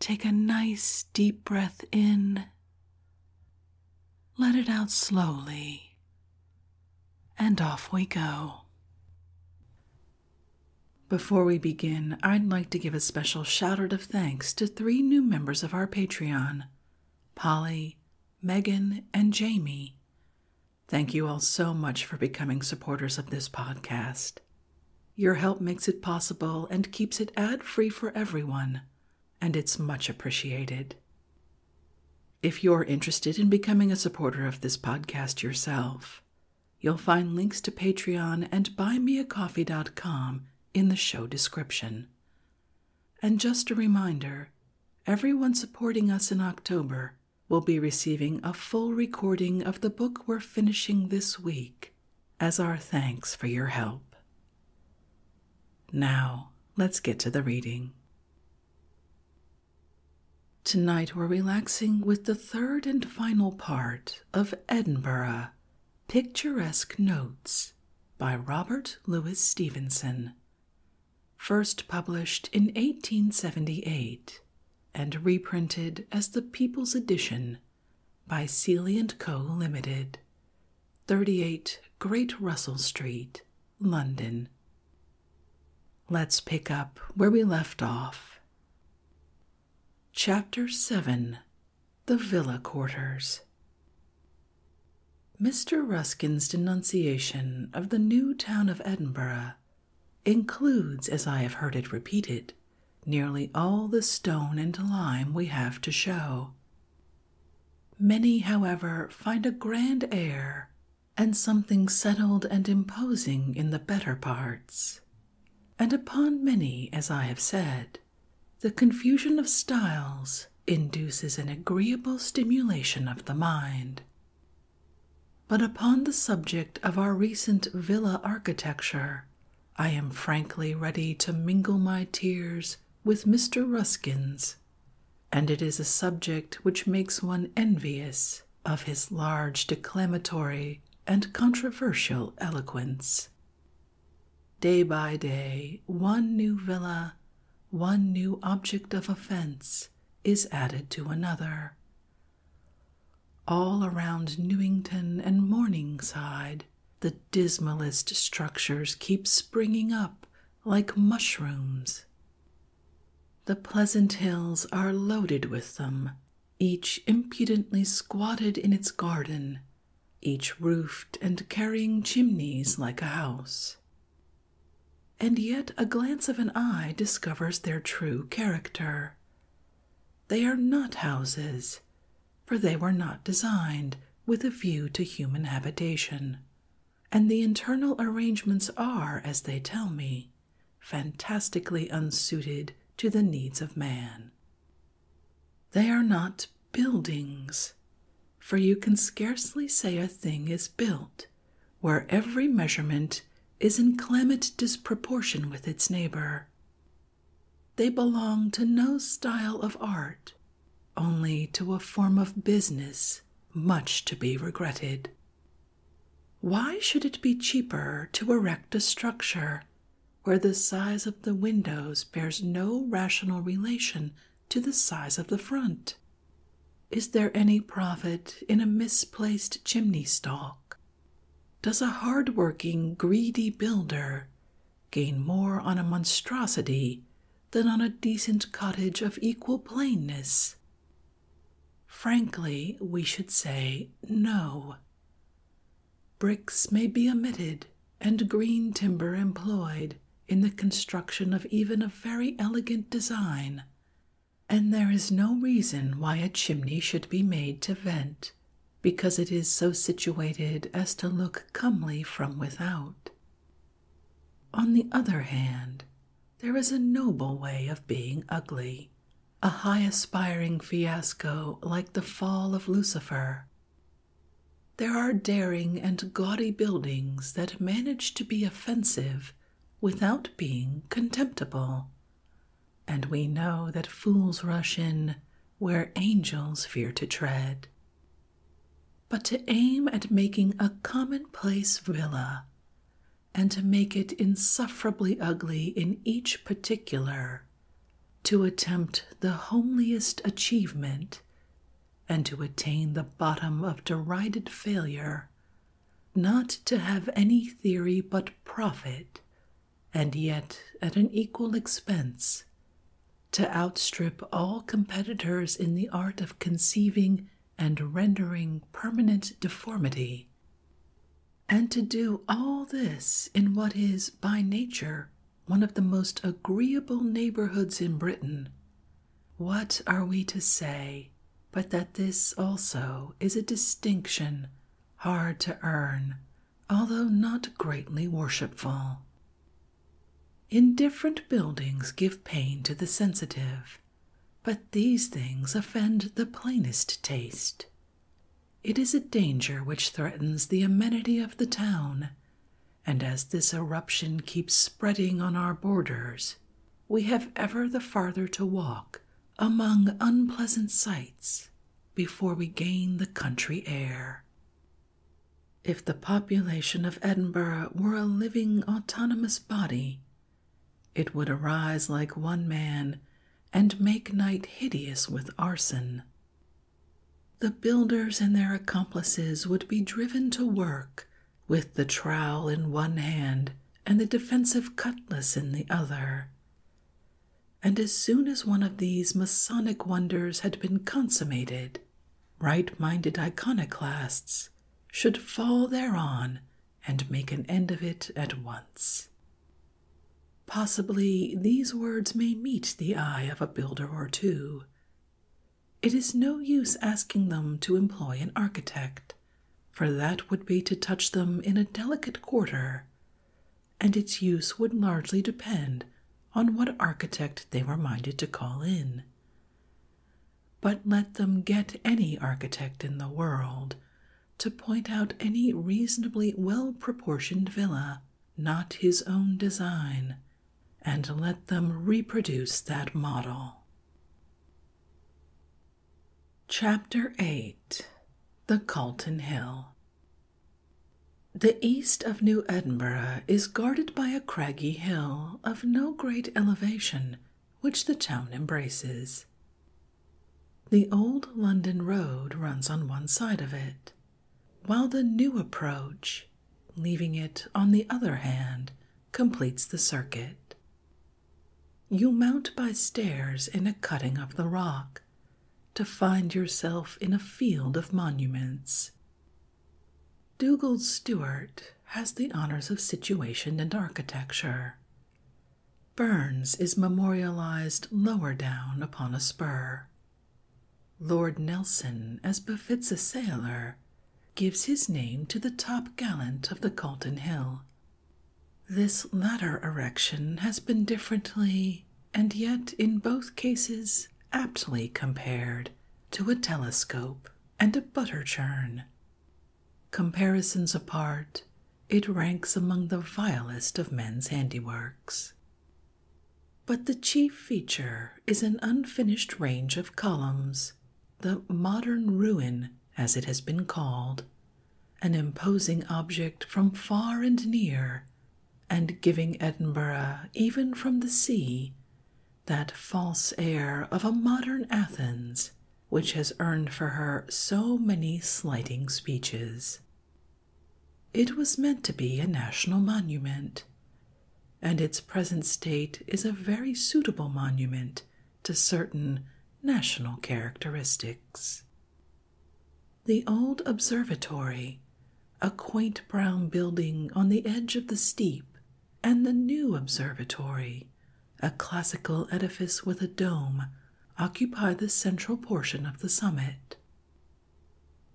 Take a nice deep breath in. Let it out slowly. And off we go. Before we begin, I'd like to give a special shout out of thanks to three new members of our Patreon Polly, Megan, and Jamie. Thank you all so much for becoming supporters of this podcast. Your help makes it possible and keeps it ad free for everyone, and it's much appreciated. If you're interested in becoming a supporter of this podcast yourself, you'll find links to Patreon and buymeacoffee.com in the show description. And just a reminder everyone supporting us in October will be receiving a full recording of the book we're finishing this week as our thanks for your help. Now, let's get to the reading. Tonight we're relaxing with the third and final part of Edinburgh Picturesque Notes by Robert Louis Stevenson, first published in 1878 and reprinted as the People's Edition by Seeley & Co. Limited, 38 Great Russell Street, London. Let's pick up where we left off. Chapter 7 The Villa Quarters. Mr. Ruskin's denunciation of the new town of Edinburgh includes, as I have heard it repeated, nearly all the stone and lime we have to show. Many, however, find a grand air and something settled and imposing in the better parts. And upon many, as I have said, the confusion of styles induces an agreeable stimulation of the mind. But upon the subject of our recent villa architecture, I am frankly ready to mingle my tears with Mr. Ruskin's, and it is a subject which makes one envious of his large declamatory and controversial eloquence. Day by day, one new villa, one new object of offence, is added to another. All around Newington and Morningside, the dismallest structures keep springing up like mushrooms. The pleasant hills are loaded with them, each impudently squatted in its garden, each roofed and carrying chimneys like a house. And yet a glance of an eye discovers their true character. They are not houses, for they were not designed with a view to human habitation, and the internal arrangements are, as they tell me, fantastically unsuited to the needs of man. They are not buildings, for you can scarcely say a thing is built where every measurement is in clement disproportion with its neighbor, they belong to no style of art, only to a form of business much to be regretted. Why should it be cheaper to erect a structure where the size of the windows bears no rational relation to the size of the front? Is there any profit in a misplaced chimney stalk? Does a hard working, greedy builder gain more on a monstrosity than on a decent cottage of equal plainness. Frankly, we should say no. Bricks may be omitted and green timber employed in the construction of even a very elegant design, and there is no reason why a chimney should be made to vent because it is so situated as to look comely from without. On the other hand, there is a noble way of being ugly, a high aspiring fiasco like the fall of Lucifer. There are daring and gaudy buildings that manage to be offensive without being contemptible, and we know that fools rush in where angels fear to tread. But to aim at making a commonplace villa and to make it insufferably ugly in each particular, to attempt the homeliest achievement, and to attain the bottom of derided failure, not to have any theory but profit and yet at an equal expense, to outstrip all competitors in the art of conceiving and rendering permanent deformity, and to do all this in what is, by nature, one of the most agreeable neighborhoods in Britain. What are we to say but that this also is a distinction hard to earn although not greatly worshipful. Indifferent buildings give pain to the sensitive, but these things offend the plainest taste. It is a danger which threatens the amenity of the town, and as this eruption keeps spreading on our borders, we have ever the farther to walk among unpleasant sights before we gain the country air. If the population of Edinburgh were a living autonomous body, it would arise like one man and make night hideous with arson. The builders and their accomplices would be driven to work with the trowel in one hand and the defensive cutlass in the other and as soon as one of these Masonic wonders had been consummated, right minded iconoclasts should fall thereon and make an end of it at once. Possibly these words may meet the eye of a builder or two. It is no use asking them to employ an architect, for that would be to touch them in a delicate quarter, and its use would largely depend on what architect they were minded to call in. But let them get any architect in the world to point out any reasonably well proportioned villa, not his own design, and let them reproduce that model. Chapter 8 The Calton Hill the east of New Edinburgh is guarded by a craggy hill of no great elevation, which the town embraces. The old London road runs on one side of it, while the new approach, leaving it on the other hand, completes the circuit. You mount by stairs in a cutting of the rock, to find yourself in a field of monuments. Dugald Stewart has the honors of situation and architecture. Burns is memorialized lower down upon a spur. Lord Nelson, as befits a sailor, gives his name to the top gallant of the Calton Hill. This latter erection has been differently and yet in both cases aptly compared to a telescope and a butter churn. Comparisons apart, it ranks among the vilest of men's handiworks. But the chief feature is an unfinished range of columns, the modern ruin, as it has been called, an imposing object from far and near, and giving Edinburgh, even from the sea, that false air of a modern Athens which has earned for her so many slighting speeches. It was meant to be a national monument, and its present state is a very suitable monument to certain national characteristics. The old observatory, a quaint brown building on the edge of the steep, and the new observatory, a classical edifice with a dome, occupy the central portion of the summit.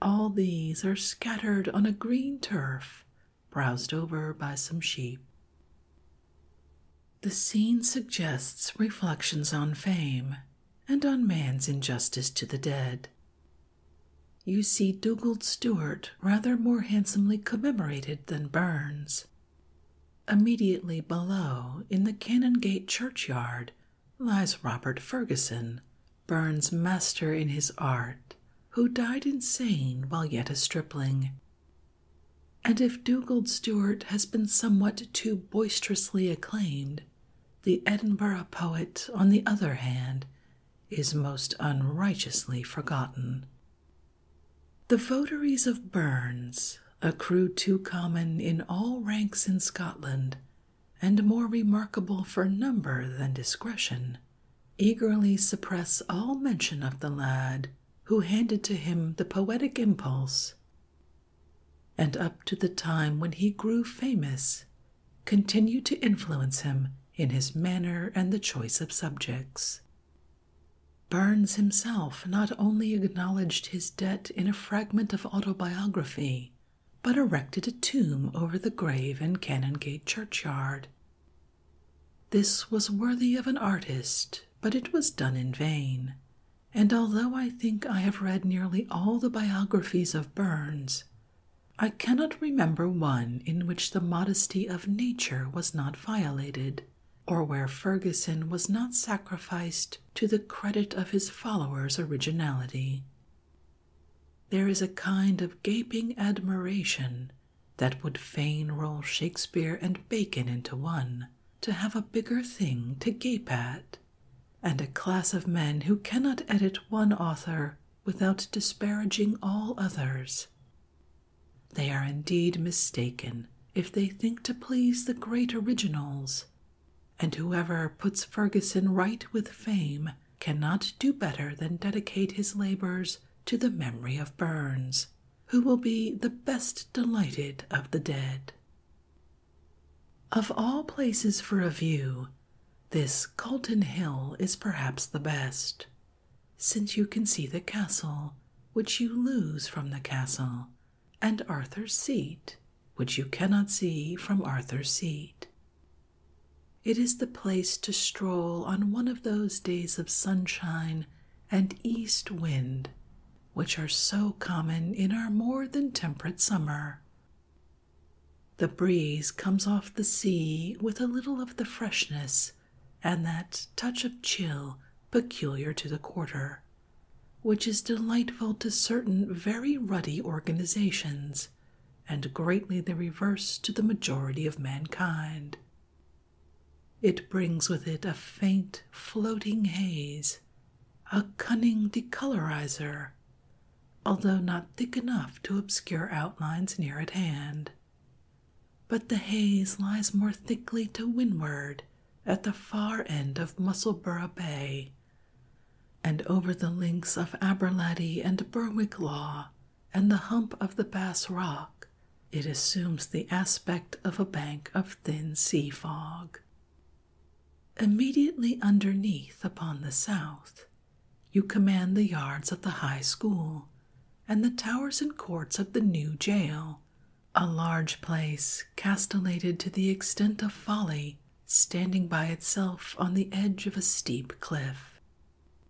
All these are scattered on a green turf, browsed over by some sheep. The scene suggests reflections on fame and on man's injustice to the dead. You see Dugald Stewart rather more handsomely commemorated than Burns. Immediately below, in the Canongate churchyard, lies Robert Ferguson, Burns' master in his art, who died insane while yet a stripling. And if Dugald Stewart has been somewhat too boisterously acclaimed, the Edinburgh poet, on the other hand, is most unrighteously forgotten. The votaries of Burns, a crew too common in all ranks in Scotland, and more remarkable for number than discretion, eagerly suppress all mention of the lad who handed to him the poetic impulse. And up to the time when he grew famous, continued to influence him in his manner and the choice of subjects. Burns himself not only acknowledged his debt in a fragment of autobiography, but erected a tomb over the grave in Canongate churchyard. This was worthy of an artist, but it was done in vain, and although I think I have read nearly all the biographies of Burns, I cannot remember one in which the modesty of nature was not violated, or where Ferguson was not sacrificed to the credit of his followers' originality. There is a kind of gaping admiration that would fain roll Shakespeare and Bacon into one to have a bigger thing to gape at, and a class of men who cannot edit one author without disparaging all others. They are indeed mistaken if they think to please the great originals, and whoever puts Ferguson right with fame cannot do better than dedicate his labors to the memory of Burns, who will be the best delighted of the dead. Of all places for a view, this Calton Hill is perhaps the best, since you can see the castle, which you lose from the castle, and Arthur's Seat, which you cannot see from Arthur's Seat. It is the place to stroll on one of those days of sunshine and east wind, which are so common in our more than temperate summer. The breeze comes off the sea with a little of the freshness and that touch of chill peculiar to the quarter, which is delightful to certain very ruddy organizations and greatly the reverse to the majority of mankind. It brings with it a faint floating haze, a cunning decolorizer, although not thick enough to obscure outlines near at hand. But the haze lies more thickly to windward at the far end of Musselburgh Bay and over the links of Aberlady and Berwick Law, and the hump of the Bass Rock, it assumes the aspect of a bank of thin sea fog. Immediately underneath, upon the south, you command the yards of the high school and the towers and courts of the new jail, a large place castellated to the extent of folly, standing by itself on the edge of a steep cliff,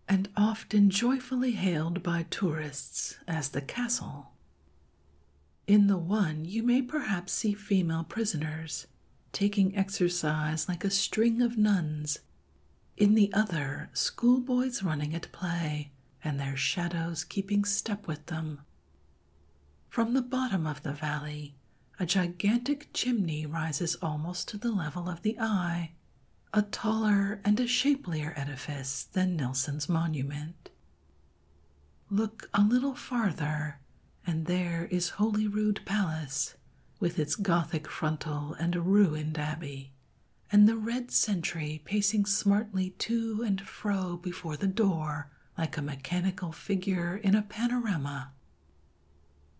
and often joyfully hailed by tourists as the castle. In the one, you may perhaps see female prisoners taking exercise like a string of nuns in the other, schoolboys running at play, and their shadows keeping step with them. From the bottom of the valley, a gigantic chimney rises almost to the level of the eye, a taller and a shapelier edifice than Nelson's monument. Look a little farther, and there is Holyrood Palace, with its Gothic frontal and ruined abbey, and the red sentry pacing smartly to and fro before the door like a mechanical figure in a panorama.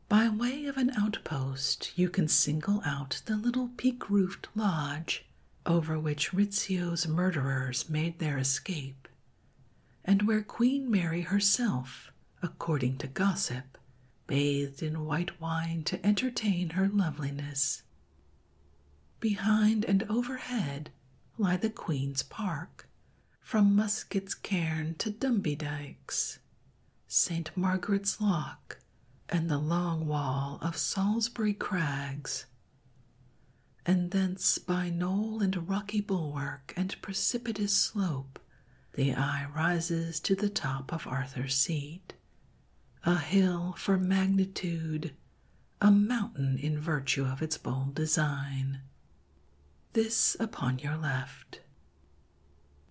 By way of an outpost, you can single out the little peak roofed lodge over which Rizzio's murderers made their escape, and where Queen Mary herself according to gossip, bathed in white wine to entertain her loveliness. Behind and overhead lie the Queen's Park, from Musket's Cairn to Dumby Dykes, St. Margaret's Loch, and the long wall of Salisbury Crags, and thence by knoll and rocky bulwark and precipitous slope the eye rises to the top of Arthur's Seat, a hill for magnitude, a mountain in virtue of its bold design. This upon your left.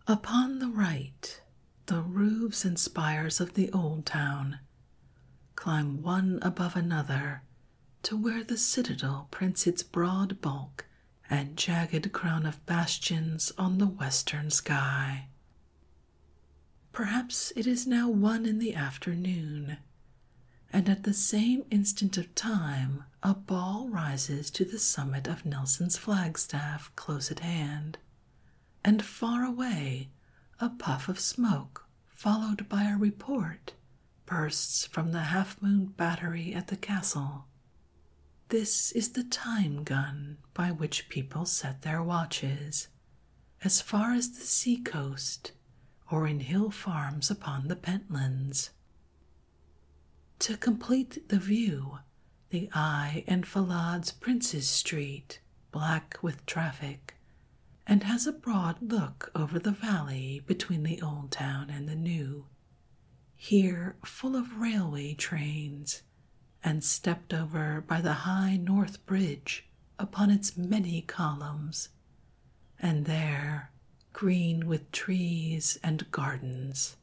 Upon the right, the roofs and spires of the old town climb one above another to where the citadel prints its broad bulk and jagged crown of bastions on the western sky. Perhaps it is now one in the afternoon, and at the same instant of time a ball rises to the summit of Nelson's flagstaff close at hand, and far away a puff of smoke, followed by a report, bursts from the half moon battery at the castle. This is the time gun by which people set their watches, as far as the sea coast or in hill farms upon the Pentlands. To complete the view, the eye enfilad's Prince's Street, black with traffic, and has a broad look over the valley between the old town and the new here full of railway trains, and stepped over by the high North Bridge upon its many columns, and there green with trees and gardens.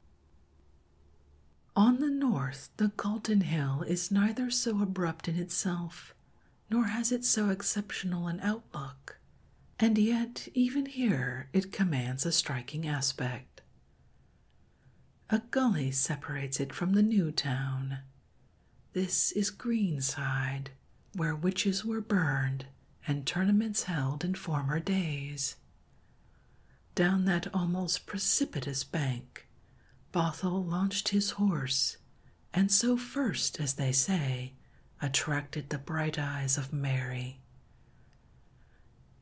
On the north, the Galton Hill is neither so abrupt in itself, nor has it so exceptional an outlook, and yet even here it commands a striking aspect. A gully separates it from the new town. This is Greenside, where witches were burned and tournaments held in former days. Down that almost precipitous bank, Bothell launched his horse, and so first, as they say, attracted the bright eyes of Mary.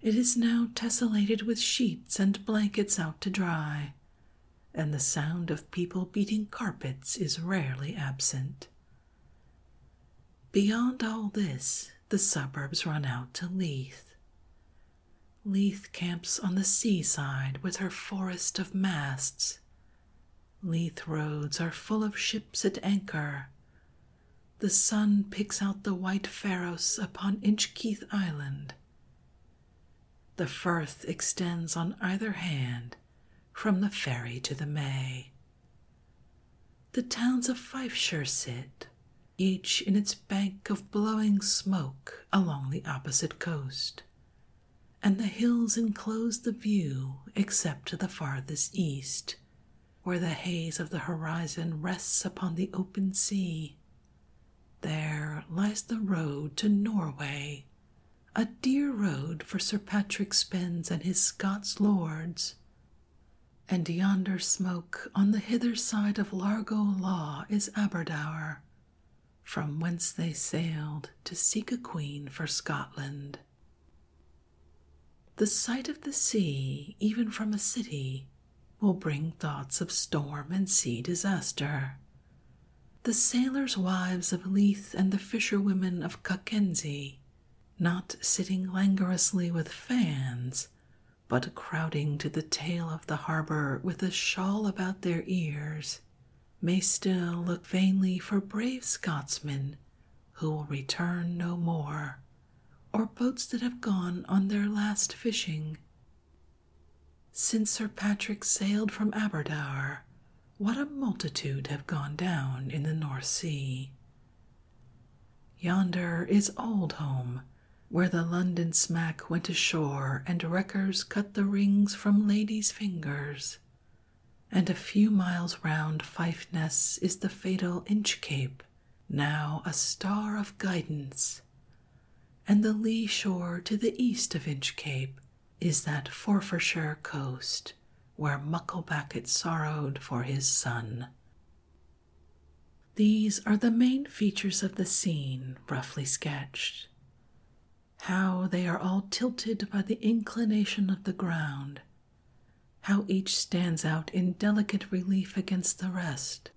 It is now tessellated with sheets and blankets out to dry, and the sound of people beating carpets is rarely absent. Beyond all this, the suburbs run out to Leith. Leith camps on the seaside with her forest of masts. Leith roads are full of ships at anchor, the sun picks out the white pharos upon Inchkeith Island. The firth extends on either hand from the ferry to the May. The towns of Fifeshire sit, each in its bank of blowing smoke along the opposite coast, and the hills enclose the view except to the farthest east where the haze of the horizon rests upon the open sea. There lies the road to Norway, a dear road for Sir Patrick Spens and his Scots lords. And yonder smoke on the hither side of Largo Law is Aberdour, from whence they sailed to seek a queen for Scotland. The sight of the sea, even from a city, will bring thoughts of storm and sea disaster. The sailors' wives of Leith and the fisherwomen of Cockenzie, not sitting languorously with fans, but crowding to the tail of the harbor with a shawl about their ears, may still look vainly for brave Scotsmen who will return no more or boats that have gone on their last fishing. Since Sir Patrick sailed from Aberdare, what a multitude have gone down in the North Sea. Yonder is old home, where the London smack went ashore and wreckers cut the rings from ladies' fingers. And a few miles round Fife Ness is the fatal Inch Cape, now a star of guidance, and the lee shore to the east of Inchcape is that Forfarshire coast where Mucklebackit sorrowed for his son. These are the main features of the scene, roughly sketched. How they are all tilted by the inclination of the ground, how each stands out in delicate relief against the rest,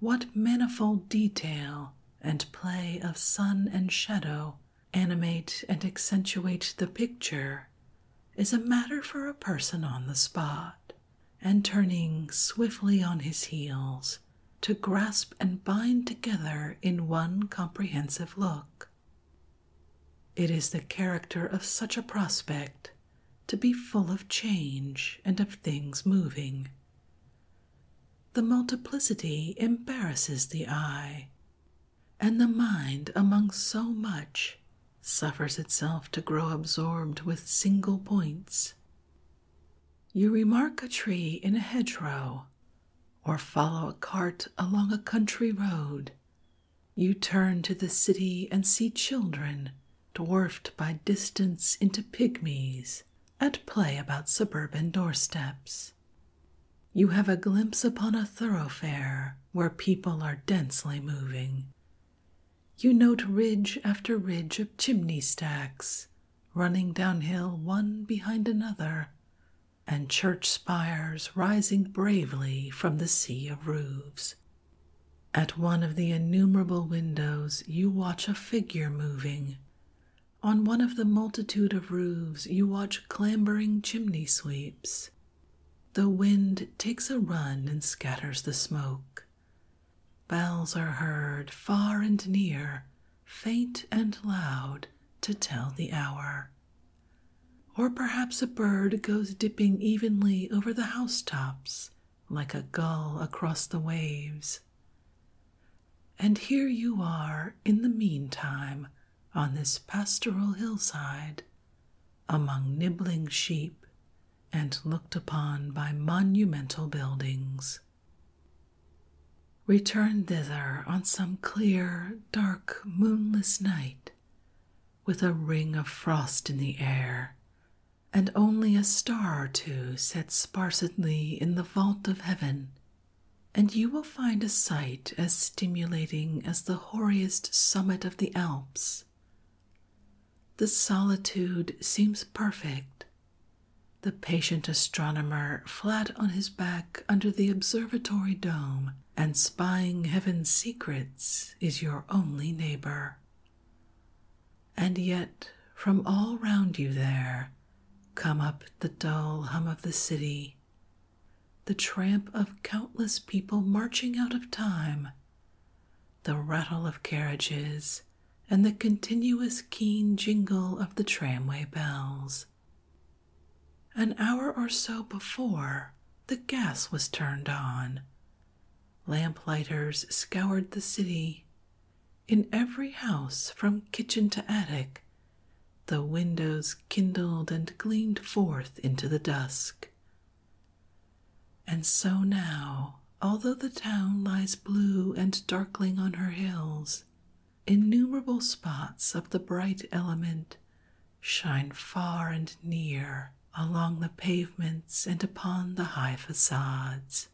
what manifold detail and play of sun and shadow animate and accentuate the picture is a matter for a person on the spot, and turning swiftly on his heels to grasp and bind together in one comprehensive look. It is the character of such a prospect to be full of change and of things moving. The multiplicity embarrasses the eye, and the mind, among so much, suffers itself to grow absorbed with single points. You remark a tree in a hedgerow, or follow a cart along a country road. You turn to the city and see children dwarfed by distance into pygmies, at play about suburban doorsteps. You have a glimpse upon a thoroughfare where people are densely moving. You note ridge after ridge of chimney stacks running downhill one behind another, and church spires rising bravely from the sea of roofs at one of the innumerable windows, you watch a figure moving. On one of the multitude of roofs, you watch clambering chimney sweeps. The wind takes a run and scatters the smoke. Bells are heard far and near, faint and loud, to tell the hour. Or perhaps a bird goes dipping evenly over the housetops like a gull across the waves. And here you are in the meantime on this pastoral hillside among nibbling sheep and looked upon by monumental buildings. Return thither on some clear, dark, moonless night with a ring of frost in the air and only a star or two set sparsely in the vault of heaven, and you will find a sight as stimulating as the hoariest summit of the Alps. The solitude seems perfect. The patient astronomer, flat on his back under the observatory dome and spying heaven's secrets, is your only neighbor and yet from all round you there come up the dull hum of the city, the tramp of countless people marching out of time, the rattle of carriages, and the continuous keen jingle of the tramway bells. An hour or so before, the gas was turned on, Lamplighters scoured the city. In every house, from kitchen to attic, the windows kindled and gleamed forth into the dusk. And so now, although the town lies blue and darkling on her hills, innumerable spots of the bright element shine far and near along the pavements and upon the high facades.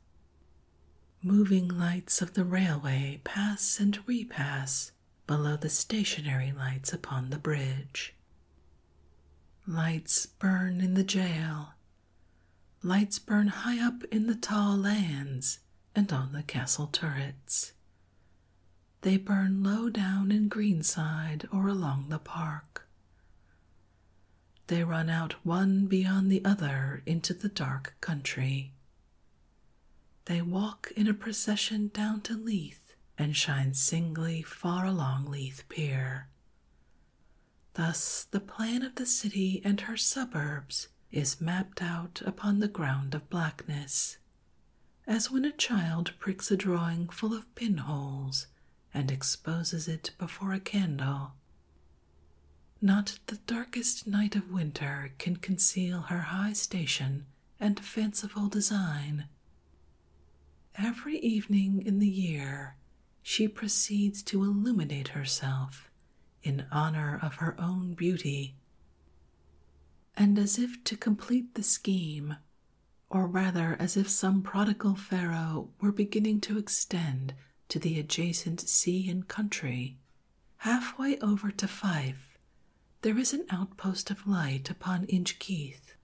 Moving lights of the railway pass and repass below the stationary lights upon the bridge. Lights burn in the jail. Lights burn high up in the tall lands and on the castle turrets. They burn low down in Greenside or along the park. They run out one beyond the other into the dark country. They walk in a procession down to Leith and shine singly far along Leith Pier. Thus, the plan of the city and her suburbs is mapped out upon the ground of blackness, as when a child pricks a drawing full of pinholes and exposes it before a candle. Not the darkest night of winter can conceal her high station and fanciful design. Every evening in the year, she proceeds to illuminate herself in honor of her own beauty. And as if to complete the scheme, or rather as if some prodigal pharaoh now were beginning to extend to the adjacent sea and country. Halfway over to Fife, there is an outpost of light upon Inchkeith,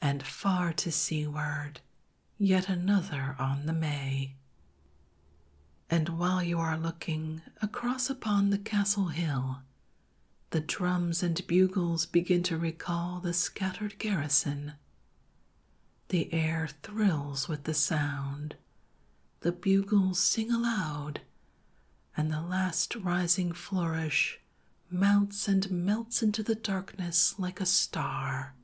and far to seaward, yet another on the May. And while you are looking across upon the castle hill, the drums and bugles begin to recall the scattered garrison. The air thrills with the sound. The bugles sing aloud, and the last rising flourish mounts and melts into the darkness like a star.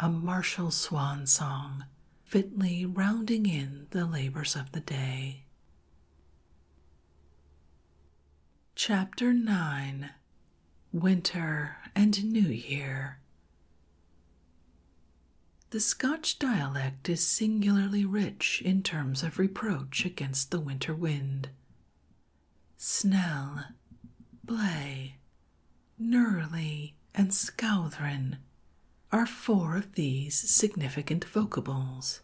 A martial swan song, fitly rounding in the labors of the day. Chapter 9 winter, and new year. The Scotch dialect is singularly rich in terms of reproach against the winter wind. Snell, Blay, Nurley, and Scowthrin are four of these significant vocables.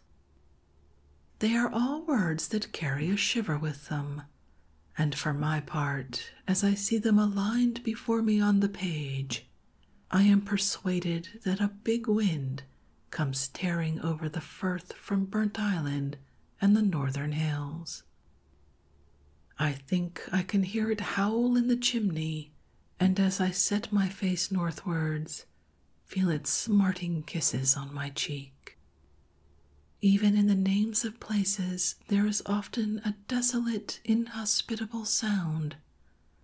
They are all words that carry a shiver with them, and for my part, as I see them aligned before me on the page, I am persuaded that a big wind comes tearing over the firth from Burnt Island and the northern hills. I think I can hear it howl in the chimney, and as I set my face northwards, feel its smarting kisses on my cheek. Even in the names of places, there is often a desolate, inhospitable sound,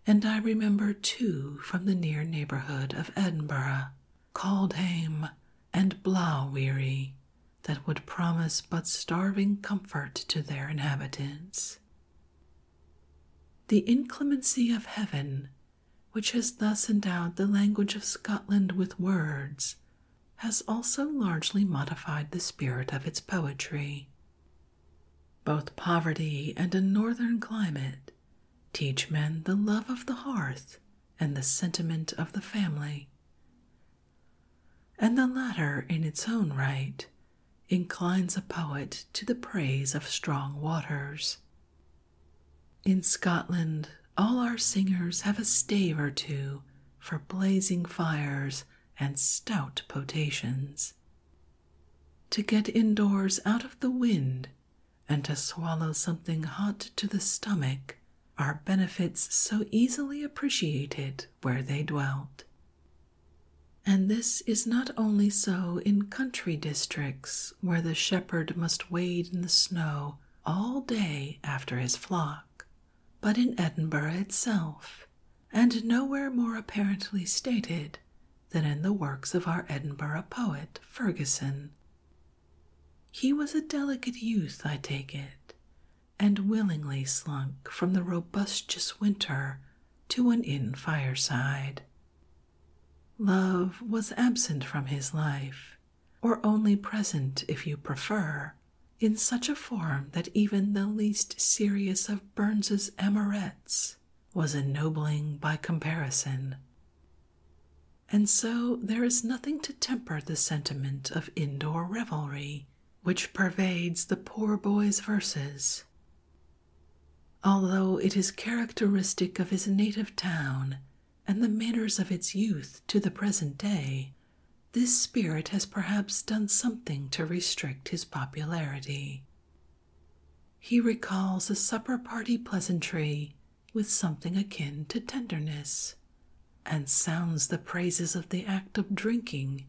and I remember two from the near neighbourhood of Edinburgh, Caldhame and Blaweary, that would promise but starving comfort to their inhabitants. The inclemency of heaven, which has thus endowed the language of Scotland with words has also largely modified the spirit of its poetry. Both poverty and a northern climate teach men the love of the hearth and the sentiment of the family, and the latter, in its own right, inclines a poet to the praise of strong waters. In Scotland, all our singers have a stave or two for blazing fires and stout potations. To get indoors out of the wind and to swallow something hot to the stomach are benefits so easily appreciated where they dwelt. And this is not only so in country districts where the shepherd must wade in the snow all day after his flock, but in Edinburgh itself, and nowhere more apparently stated than in the works of our Edinburgh poet Ferguson. He was a delicate youth, I take it, and willingly slunk from the robustious winter to an inn fireside. Love was absent from his life, or only present if you prefer, in such a form that even the least serious of Burns's amorettes was ennobling by comparison. And so there is nothing to temper the sentiment of indoor revelry which pervades the poor boy's verses. Although it is characteristic of his native town and the manners of its youth to the present day this spirit has perhaps done something to restrict his popularity. He recalls a supper party pleasantry with something akin to tenderness, and sounds the praises of the act of drinking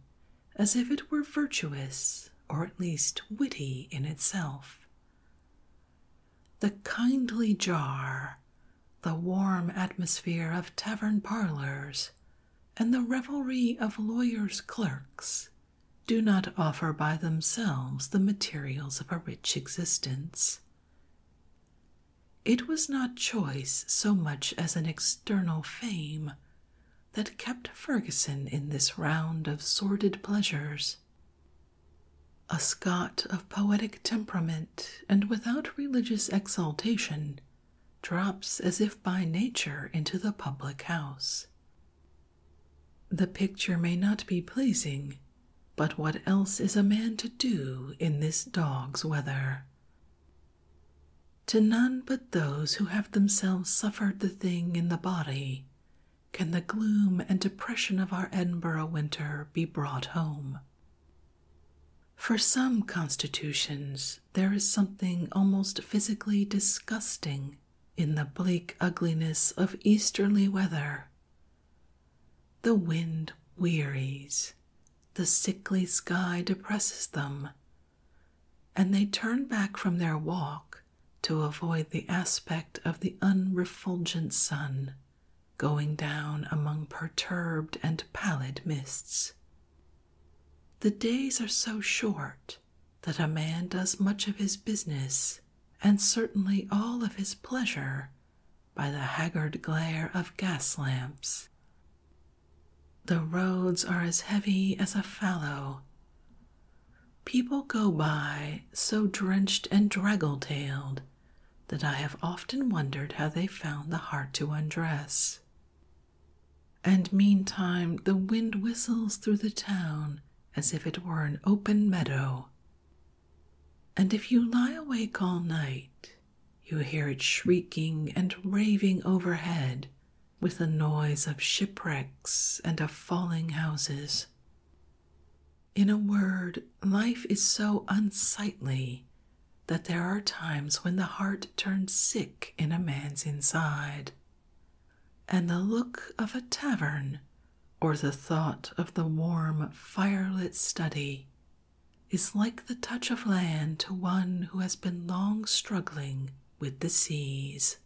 as if it were virtuous or at least witty in itself. The kindly jar the warm atmosphere of tavern parlors, and the revelry of lawyers' clerks do not offer by themselves the materials of a rich existence. It was not choice so much as an external fame that kept Ferguson in this round of sordid pleasures. A Scot of poetic temperament and without religious exaltation, drops as if by nature into the public house. The picture may not be pleasing, but what else is a man to do in this dog's weather? To none but those who have themselves suffered the thing in the body can the gloom and depression of our Edinburgh winter be brought home. For some constitutions, there is something almost physically disgusting in the bleak ugliness of easterly weather. The wind wearies, the sickly sky depresses them, and they turn back from their walk to avoid the aspect of the unrefulgent sun going down among perturbed and pallid mists. The days are so short that a man does much of his business, and certainly all of his pleasure, by the haggard glare of gas lamps. The roads are as heavy as a fallow. People go by so drenched and draggle tailed that I have often wondered how they found the heart to undress. And meantime the wind whistles through the town as if it were an open meadow. And if you lie awake all night, you hear it shrieking and raving overhead with the noise of shipwrecks and of falling houses. In a word, life is so unsightly that there are times when the heart turns sick in a man's inside, and the look of a tavern or the thought of the warm firelit study is like the touch of land to one who has been long struggling with the seas.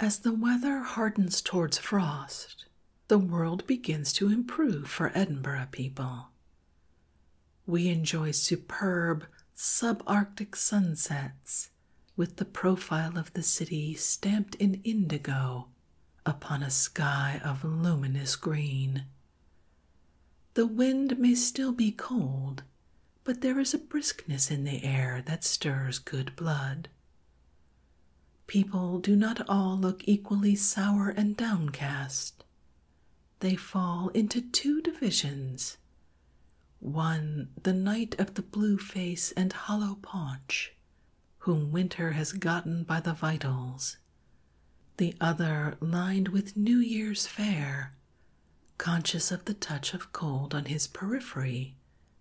As the weather hardens towards frost, the world begins to improve for Edinburgh people, we enjoy superb subarctic sunsets with the profile of the city stamped in indigo upon a sky of luminous green. The wind may still be cold, but there is a briskness in the air that stirs good blood. People do not all look equally sour and downcast they fall into two divisions one the knight of the blue face and hollow paunch, whom winter has gotten by the vitals, the other lined with New Year's fair, conscious of the touch of cold on his periphery,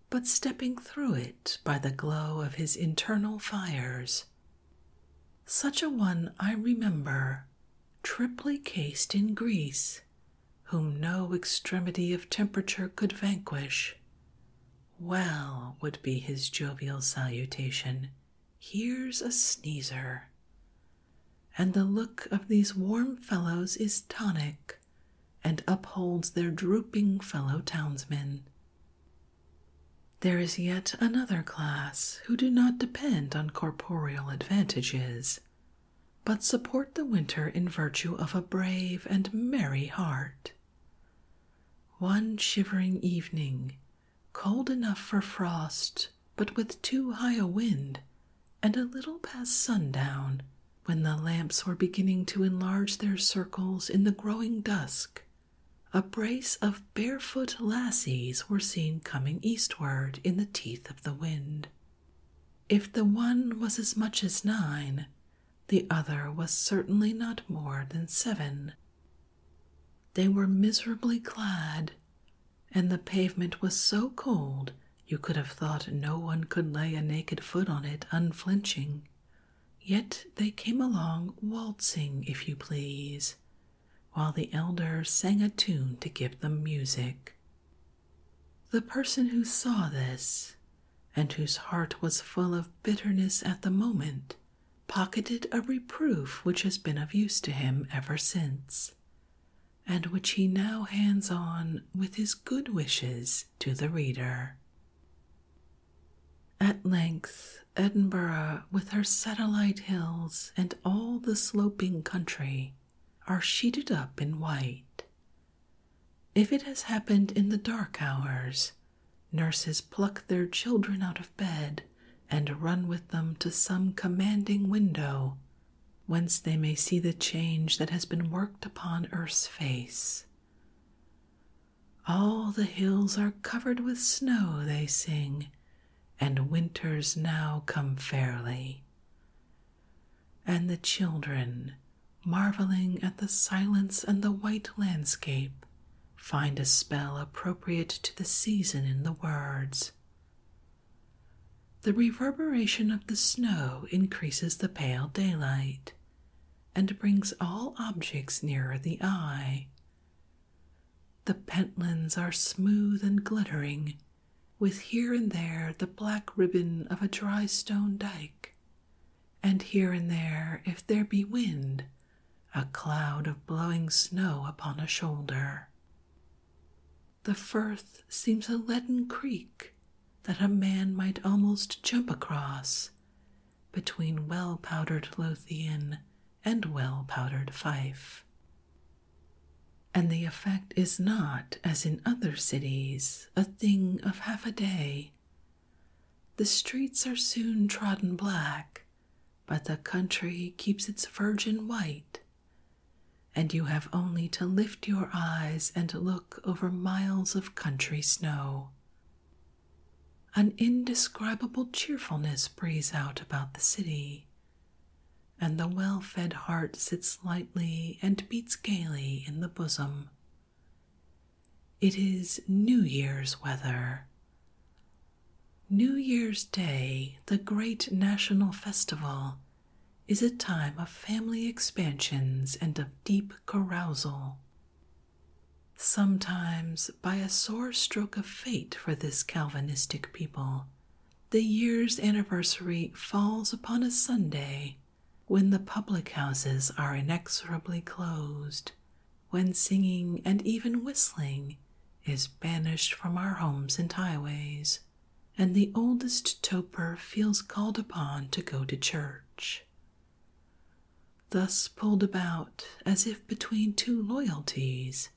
but stepping through it by the glow of his internal fires. Such a one I remember, triply cased in grease, whom no extremity of temperature could vanquish. Well, would be his jovial salutation, here's a sneezer. And the look of these warm fellows is tonic and upholds their drooping fellow townsmen. There is yet another class who do not depend on corporeal advantages, but support the winter in virtue of a brave and merry heart. One shivering evening, cold enough for frost, but with too high a wind, and a little past sundown, when the lamps were beginning to enlarge their circles in the growing dusk, a brace of barefoot lassies were seen coming eastward in the teeth of the wind. If the one was as much as nine, the other was certainly not more than seven. They were miserably clad, and the pavement was so cold you could have thought no one could lay a naked foot on it unflinching. Yet they came along waltzing, if you please, while the elder sang a tune to give them music. The person who saw this, and whose heart was full of bitterness at the moment, pocketed a reproof which has been of use to him ever since, and which he now hands on with his good wishes to the reader. At length, Edinburgh, with her satellite hills and all the sloping country, are sheeted up in white. If it has happened in the dark hours, nurses pluck their children out of bed and run with them to some commanding window, whence they may see the change that has been worked upon Earth's face. All the hills are covered with snow, they sing, and winter's now come fairly. And the children, marveling at the silence and the white landscape, find a spell appropriate to the season in the words. The reverberation of the snow increases the pale daylight and brings all objects nearer the eye the pentlands are smooth and glittering, with here and there the black ribbon of a dry stone dyke, and here and there, if there be wind, a cloud of blowing snow upon a shoulder. The firth seems a leaden creek that a man might almost jump across between well powdered Lothian and well powdered Fife and the effect is not, as in other cities, a thing of half a day. The streets are soon trodden black, but the country keeps its virgin white, and you have only to lift your eyes and look over miles of country snow. An indescribable cheerfulness breathes out about the city, and the well fed heart sits lightly and beats gaily in the bosom. It is New Year's weather. New Year's Day, the great national festival, is a time of family expansions and of deep carousal. Sometimes, by a sore stroke of fate for this Calvinistic people, the year's anniversary falls upon a Sunday when the public houses are inexorably closed, when singing and even whistling is banished from our homes and highways, and the oldest toper feels called upon to go to church. Thus pulled about as if between two loyalties,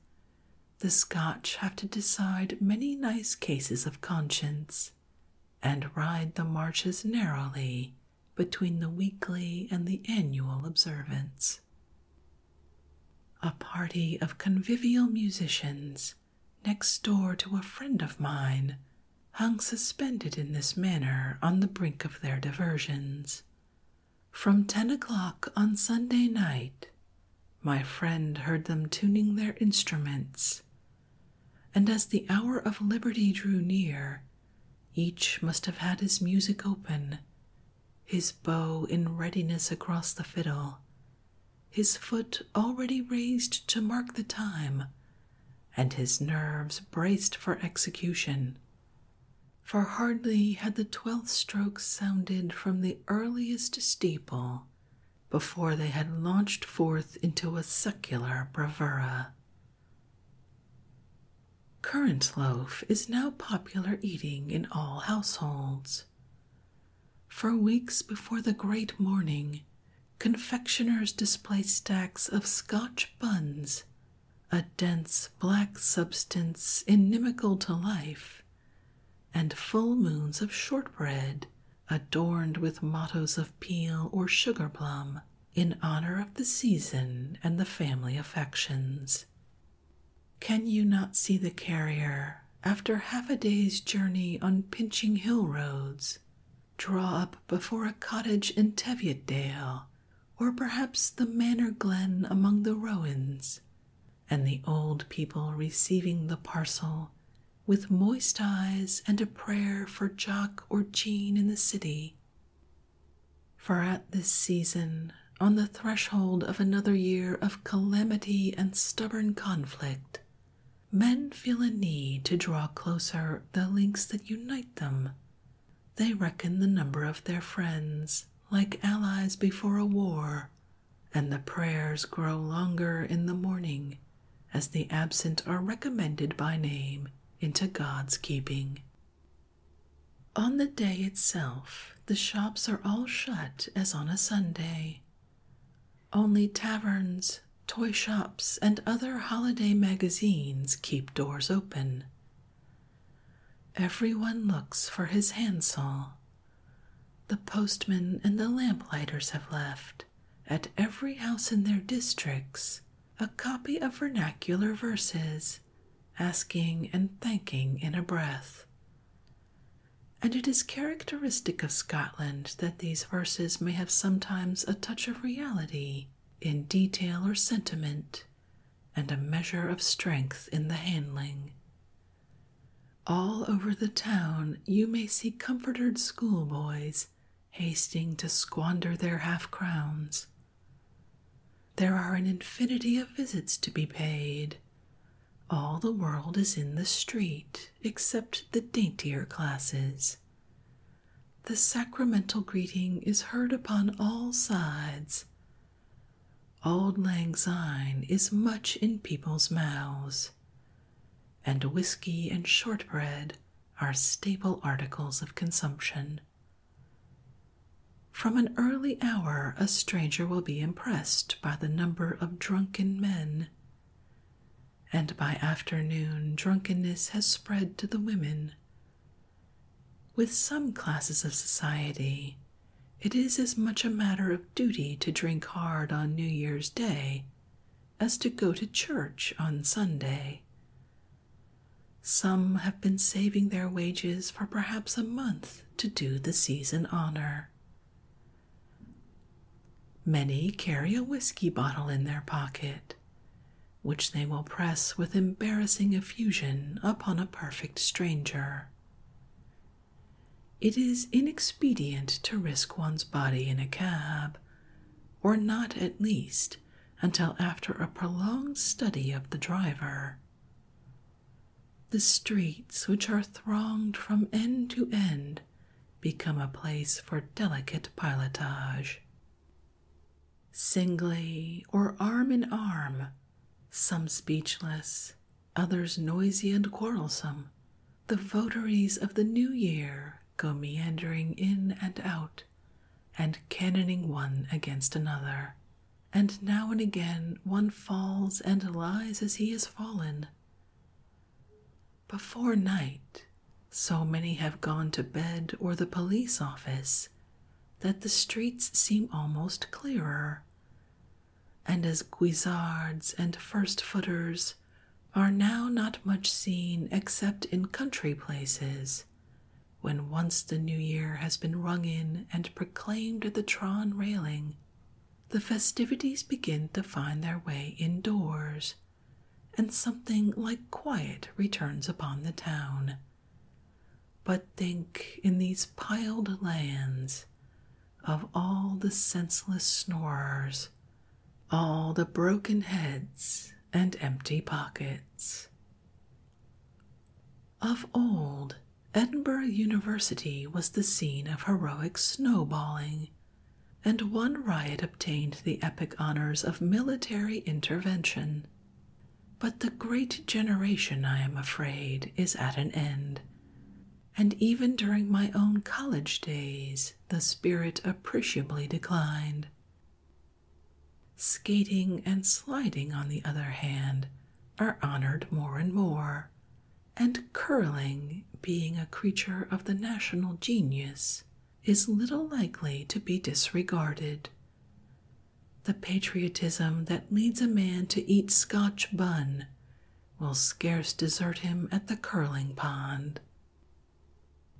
the Scotch have to decide many nice cases of conscience and ride the marches narrowly between the weekly and the annual observance. A party of convivial musicians next door to a friend of mine hung suspended in this manner on the brink of their diversions from ten o'clock on Sunday night, my friend heard them tuning their instruments, and as the hour of liberty drew near, each must have had his music open, his bow in readiness across the fiddle, his foot already raised to mark the time, and his nerves braced for execution for hardly had the twelfth stroke sounded from the earliest steeple before they had launched forth into a secular bravura. Currant loaf is now popular eating in all households. For weeks before the great morning, confectioners display stacks of Scotch buns, a dense black substance inimical to life, and full moons of shortbread adorned with mottoes of peel or sugar plum in honor of the season and the family affections. Can you not see the carrier, after half a day's journey on pinching hill roads, draw up before a cottage in Teviotdale, or perhaps the manor glen among the rowans, and the old people receiving the parcel with moist eyes and a prayer for Jock or Jean in the city. For at this season, on the threshold of another year of calamity and stubborn conflict, men feel a need to draw closer the links that unite them. They reckon the number of their friends, like allies before a war, and the prayers grow longer in the morning as the absent are recommended by name into God's keeping. On the day itself, the shops are all shut as on a Sunday. Only taverns, toy shops, and other holiday magazines keep doors open. Everyone looks for his handsaw the postmen and the lamplighters have left, at every house in their districts, a copy of vernacular verses, asking and thanking in a breath. And it is characteristic of Scotland that these verses may have sometimes a touch of reality in detail or sentiment, and a measure of strength in the handling, all over the town you may see comforted schoolboys hasting to squander their half crowns. There are an infinity of visits to be paid. All the world is in the street except the daintier classes. The sacramental greeting is heard upon all sides, Auld Lang Syne is much in people's mouths, and whisky and shortbread are staple articles of consumption. From an early hour, a stranger will be impressed by the number of drunken men, and by afternoon, drunkenness has spread to the women. With some classes of society, it is as much a matter of duty to drink hard on New Year's Day as to go to church on Sunday. Some have been saving their wages for perhaps a month to do the season honor. Many carry a whiskey bottle in their pocket, which they will press with embarrassing effusion upon a perfect stranger, it is inexpedient to risk one's body in a cab, or not at least until after a prolonged study of the driver. The streets, which are thronged from end to end, become a place for delicate pilotage. Singly or arm in arm, some speechless, others noisy and quarrelsome, the votaries of the new year go meandering in and out, and cannoning one against another. And now and again one falls and lies as he has fallen. Before night, so many have gone to bed or the police office that the streets seem almost clearer, and as guisards and first footers are now not much seen except in country places, when once the new year has been rung in and proclaimed at the Tron railing, the festivities begin to find their way indoors, and something like quiet returns upon the town. But think in these piled lands, of all the senseless snorers, all the broken heads and empty pockets. Of old, Edinburgh University was the scene of heroic snowballing, and one riot obtained the epic honors of military intervention. But the great generation, I am afraid, is at an end, and even during my own college days, the spirit appreciably declined. Skating and sliding, on the other hand, are honored more and more, and curling, being a creature of the national genius, is little likely to be disregarded. The patriotism that leads a man to eat Scotch bun will scarce desert him at the curling pond.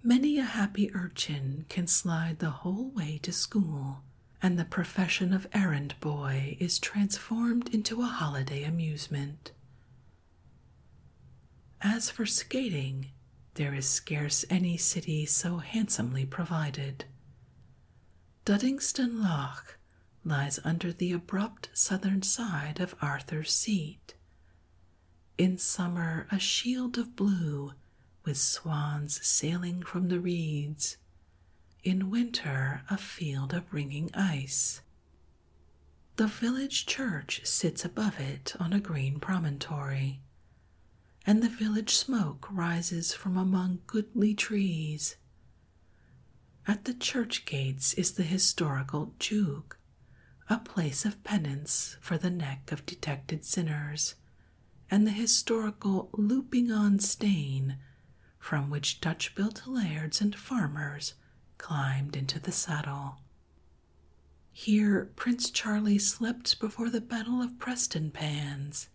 Many a happy urchin can slide the whole way to school, and the profession of errand boy is transformed into a holiday amusement. As for skating, there is scarce any city so handsomely provided. Duddingston Loch lies under the abrupt southern side of Arthur's Seat. In summer, a shield of blue with swans sailing from the reeds. In winter, a field of ringing ice. The village church sits above it on a green promontory, and the village smoke rises from among goodly trees at the church gates is the historical Jug, a place of penance for the neck of detected sinners, and the historical Looping on Stain, from which Dutch built lairds and farmers climbed into the saddle. Here Prince Charlie slept before the Battle of Prestonpans,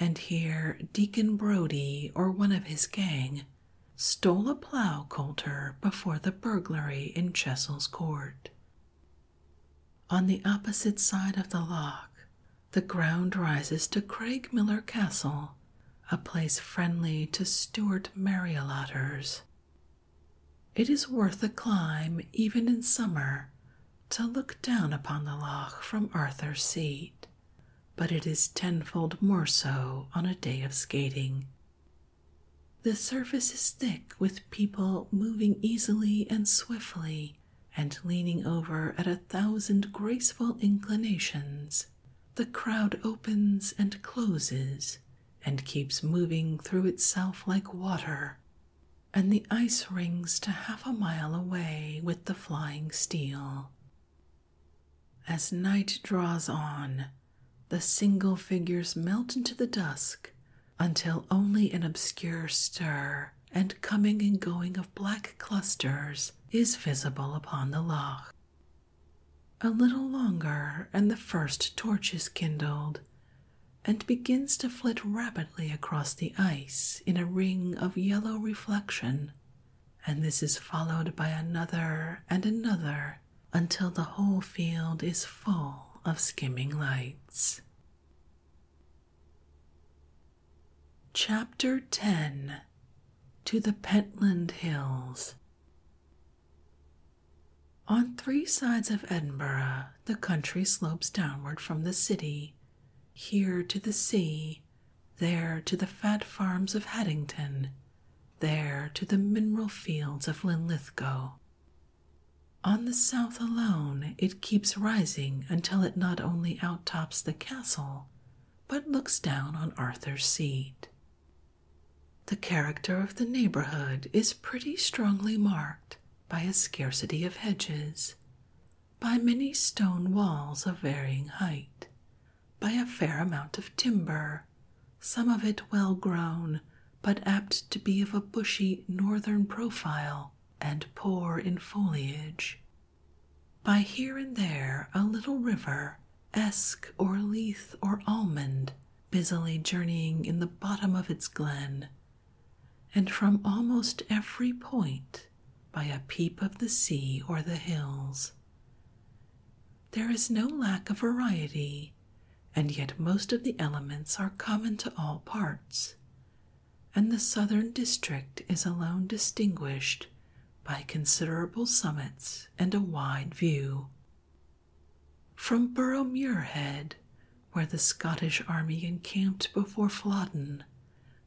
And here Deacon Brodie or one of his gang stole a plow coulter before the burglary in Chessel's court. On the opposite side of the loch, the ground rises to Craigmiller Castle, a place friendly to Stuart Marriotters. It is worth a climb, even in summer, to look down upon the loch from Arthur's Seat, but it is tenfold more so on a day of skating. The surface is thick with people moving easily and swiftly and leaning over at a thousand graceful inclinations. The crowd opens and closes and keeps moving through itself like water, and the ice rings to half a mile away with the flying steel. As night draws on, the single figures melt into the dusk until only an obscure stir and coming and going of black clusters is visible upon the loch. A little longer, and the first torch is kindled, and begins to flit rapidly across the ice in a ring of yellow reflection and this is followed by another and another until the whole field is full of skimming lights. Chapter 10 To the Pentland Hills. On three sides of Edinburgh, the country slopes downward from the city, here to the sea, there to the fat farms of Haddington, there to the mineral fields of Linlithgow. On the south alone, it keeps rising until it not only outtops the castle, but looks down on Arthur's Seat. The character of the neighborhood is pretty strongly marked by a scarcity of hedges, by many stone walls of varying height, by a fair amount of timber, some of it well grown, but apt to be of a bushy northern profile and poor in foliage. By here and there a little river, esk or leith or almond, busily journeying in the bottom of its glen, and from almost every point by a peep of the sea or the hills. There is no lack of variety, and yet most of the elements are common to all parts, and the southern district is alone distinguished by considerable summits and a wide view. From Burrow Muirhead, where the Scottish army encamped before Flodden,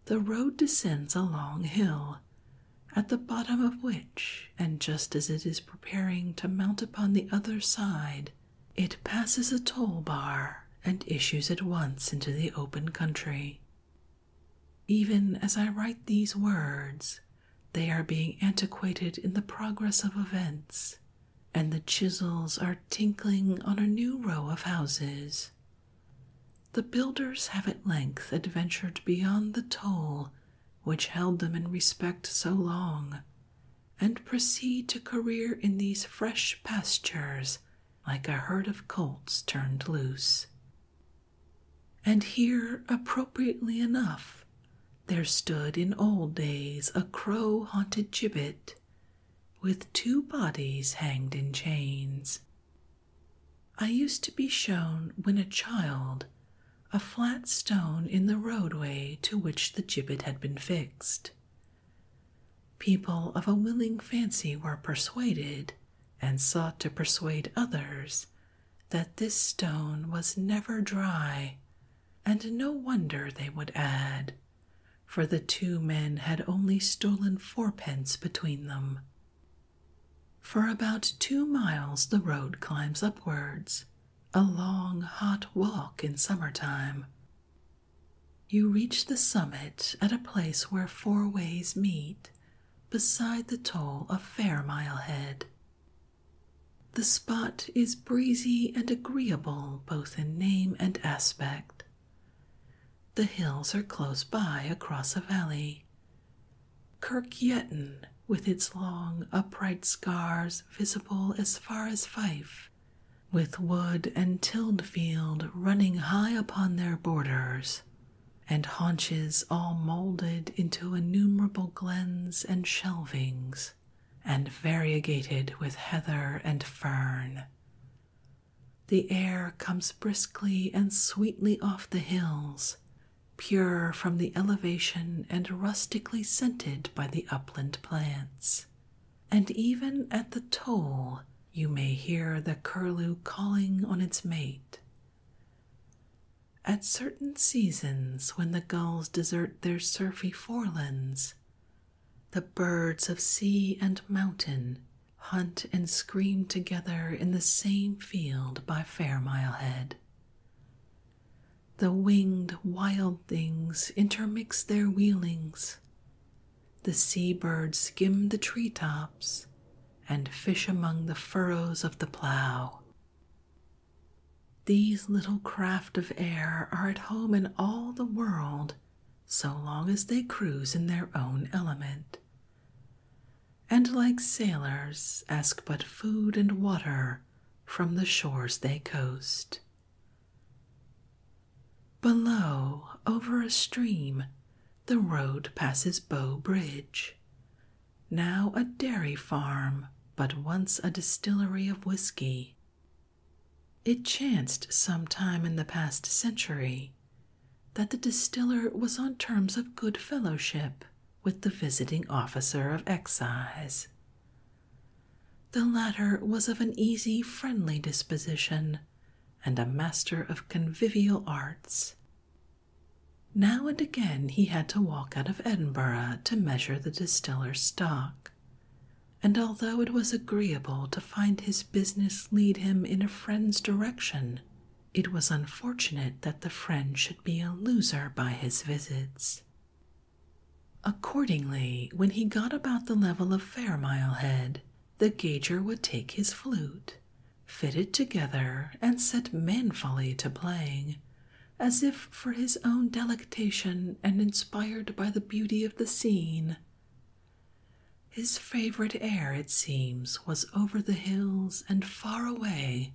the road descends a long hill at the bottom of which, and just as it is preparing to mount upon the other side, it passes a toll bar and issues at once into the open country. Even as I write these words, they are being antiquated in the progress of events, and the chisels are tinkling on a new row of houses the builders have at length adventured beyond the toll which held them in respect so long, and proceed to career in these fresh pastures like a herd of colts turned loose. And here, appropriately enough, there stood in old days a crow haunted gibbet with two bodies hanged in chains. I used to be shown, when a child, a flat stone in the roadway to which the gibbet had been fixed. People of a willing fancy were persuaded, and sought to persuade others, that this stone was never dry, and no wonder they would add, for the two men had only stolen fourpence between them. For about two miles the road climbs upwards, a long, hot walk in summer time. You reach the summit at a place where four ways meet, beside the toll of Fair Mile Head. The spot is breezy and agreeable both in name and aspect. The hills are close by across a valley, Kirkyetton, with its long, upright scars visible as far as Fife, with wood and tilled field running high upon their borders, and haunches all moulded into innumerable glens and shelvings, and variegated with heather and fern. The air comes briskly and sweetly off the hills, pure from the elevation and rustically scented by the upland plants. And even at the toll, you may hear the curlew calling on its mate. At certain seasons, when the gulls desert their surfy forelands, the birds of sea and mountain hunt and scream together in the same field by fair mile head. The winged wild things intermix their wheelings. The sea birds skim the tree tops and fish among the furrows of the plough. These little craft of air are at home in all the world so long as they cruise in their own element and like sailors ask but food and water from the shores they coast. Below, over a stream, the road passes Bow Bridge, now a dairy farm, but once a distillery of whiskey. It chanced some time in the past century that the distiller was on terms of good fellowship with the visiting officer of excise. The latter was of an easy, friendly disposition and a master of convivial arts. Now and again he had to walk out of Edinburgh to measure the distiller's stock, and although it was agreeable to find his business lead him in a friend's direction, it was unfortunate that the friend should be a loser by his visits. Accordingly, when he got about the level of Fairmile Head, the gauger would take his flute, fit it together, and set manfully to playing, as if for his own delectation and inspired by the beauty of the scene. His favourite air, it seems, was over the hills and far away,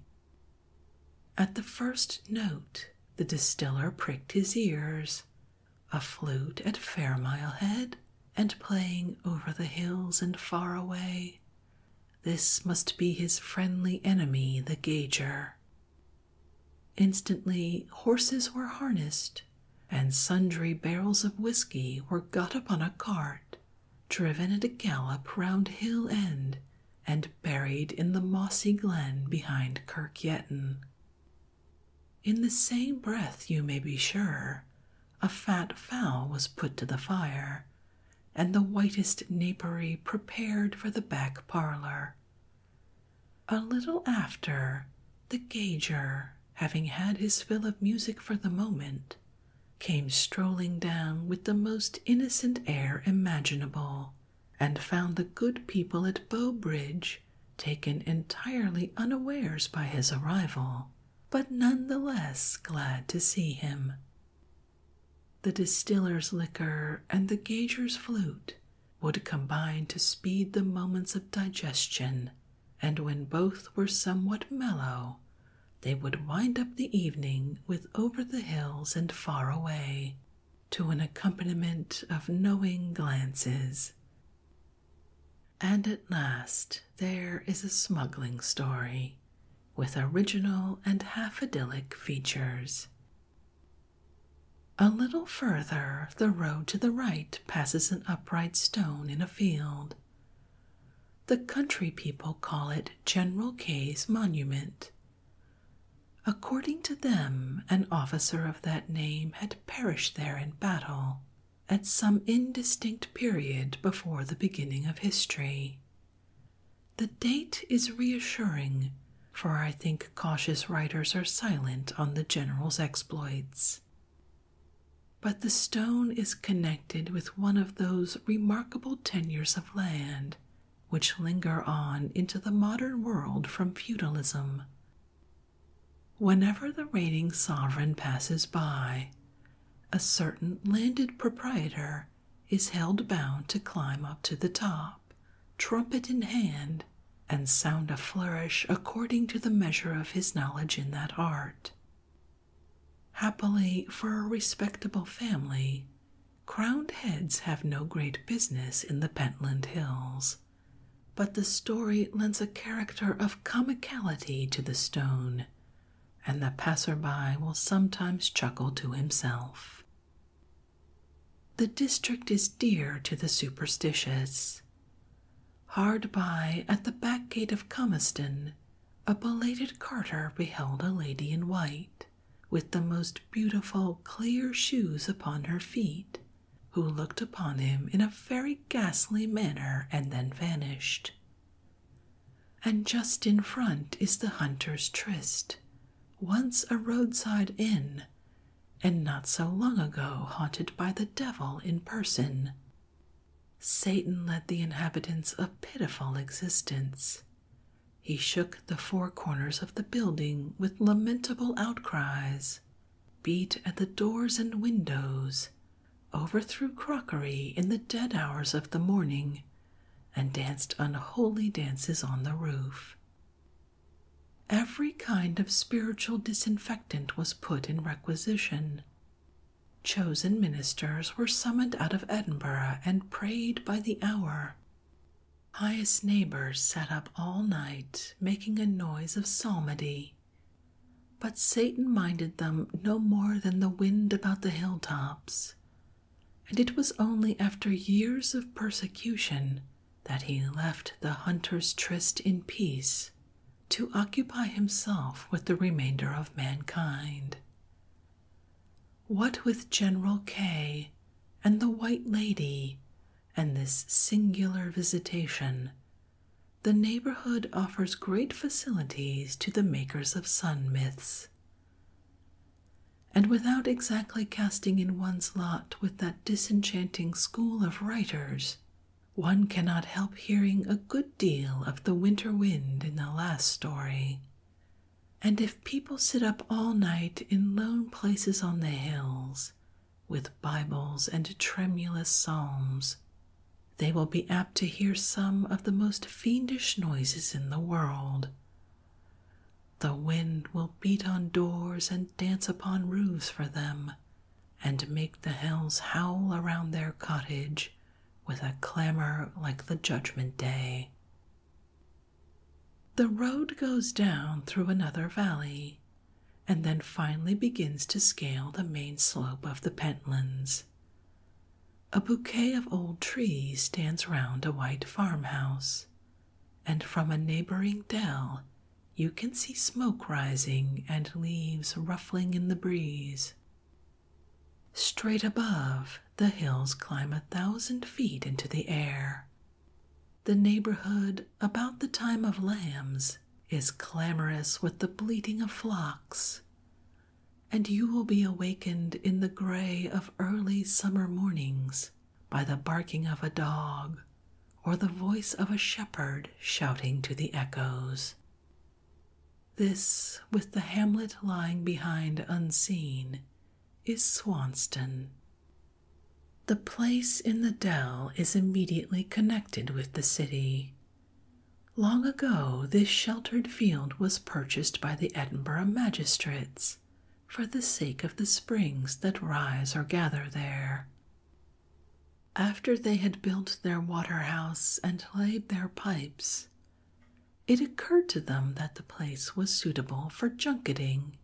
at the first note, the distiller pricked his ears. A flute at Fairmile Head, and playing over the hills and far away. This must be his friendly enemy, the gauger. Instantly, horses were harnessed, and sundry barrels of whiskey were got upon a cart driven at a gallop round Hill End and buried in the mossy glen behind Kirk Yetton. In the same breath, you may be sure, a fat fowl was put to the fire, and the whitest napery prepared for the back parlour. A little after, the gauger, having had his fill of music for the moment, came strolling down with the most innocent air imaginable, and found the good people at Bowbridge taken entirely unawares by his arrival, but none the less glad to see him. The distiller's liquor and the gager's flute would combine to speed the moments of digestion, and when both were somewhat mellow, they would wind up the evening with Over the Hills and Far Away to an accompaniment of knowing glances. And at last, there is a smuggling story with original and half idyllic features. A little further, the road to the right passes an upright stone in a field. The country people call it General K's monument. According to them, an officer of that name had perished there in battle at some indistinct period before the beginning of history. The date is reassuring, for I think cautious writers are silent on the general's exploits. But the stone is connected with one of those remarkable tenures of land which linger on into the modern world from feudalism. Whenever the reigning sovereign passes by, a certain landed proprietor is held bound to climb up to the top, trumpet in hand, and sound a flourish according to the measure of his knowledge in that art. Happily for a respectable family, Crowned heads have no great business in the Pentland Hills, but the story lends a character of comicality to the stone, and the passer-by will sometimes chuckle to himself. The district is dear to the superstitious. Hard by, at the back gate of Comiston, a belated carter beheld a lady in white with the most beautiful clear shoes upon her feet, who looked upon him in a very ghastly manner and then vanished. And just in front is the hunter's tryst, once a roadside inn, and not so long ago haunted by the devil in person. Satan led the inhabitants a pitiful existence. He shook the four corners of the building with lamentable outcries, beat at the doors and windows, overthrew crockery in the dead hours of the morning, and danced unholy dances on the roof. Every kind of spiritual disinfectant was put in requisition. Chosen ministers were summoned out of Edinburgh and prayed by the hour. Pious neighbors sat up all night, making a noise of psalmody. But Satan minded them no more than the wind about the hill tops, and it was only after years of persecution that he left the hunter's tryst in peace to occupy himself with the remainder of mankind what with General K and the White Lady and this singular visitation, the neighborhood offers great facilities to the makers of sun myths. And without exactly casting in one's lot with that disenchanting school of writers, one cannot help hearing a good deal of the winter wind in the last story, and if people sit up all night in lone places on the hills, with Bibles and tremulous psalms, they will be apt to hear some of the most fiendish noises in the world. The wind will beat on doors and dance upon roofs for them, and make the hills howl around their cottage with a clamor like the judgment day. The road goes down through another valley and then finally begins to scale the main slope of the Pentlands. A bouquet of old trees stands round a white farmhouse, and from a neighboring dell you can see smoke rising and leaves ruffling in the breeze. Straight above, the hills climb a thousand feet into the air. The neighborhood, about the time of lambs, is clamorous with the bleating of flocks, and you will be awakened in the gray of early summer mornings by the barking of a dog or the voice of a shepherd shouting to the echoes. This, with the hamlet lying behind unseen, is Swanston. The place in the dell is immediately connected with the city. Long ago, this sheltered field was purchased by the Edinburgh magistrates for the sake of the springs that rise or gather there. After they had built their water house and laid their pipes, it occurred to them that the place was suitable for junketing.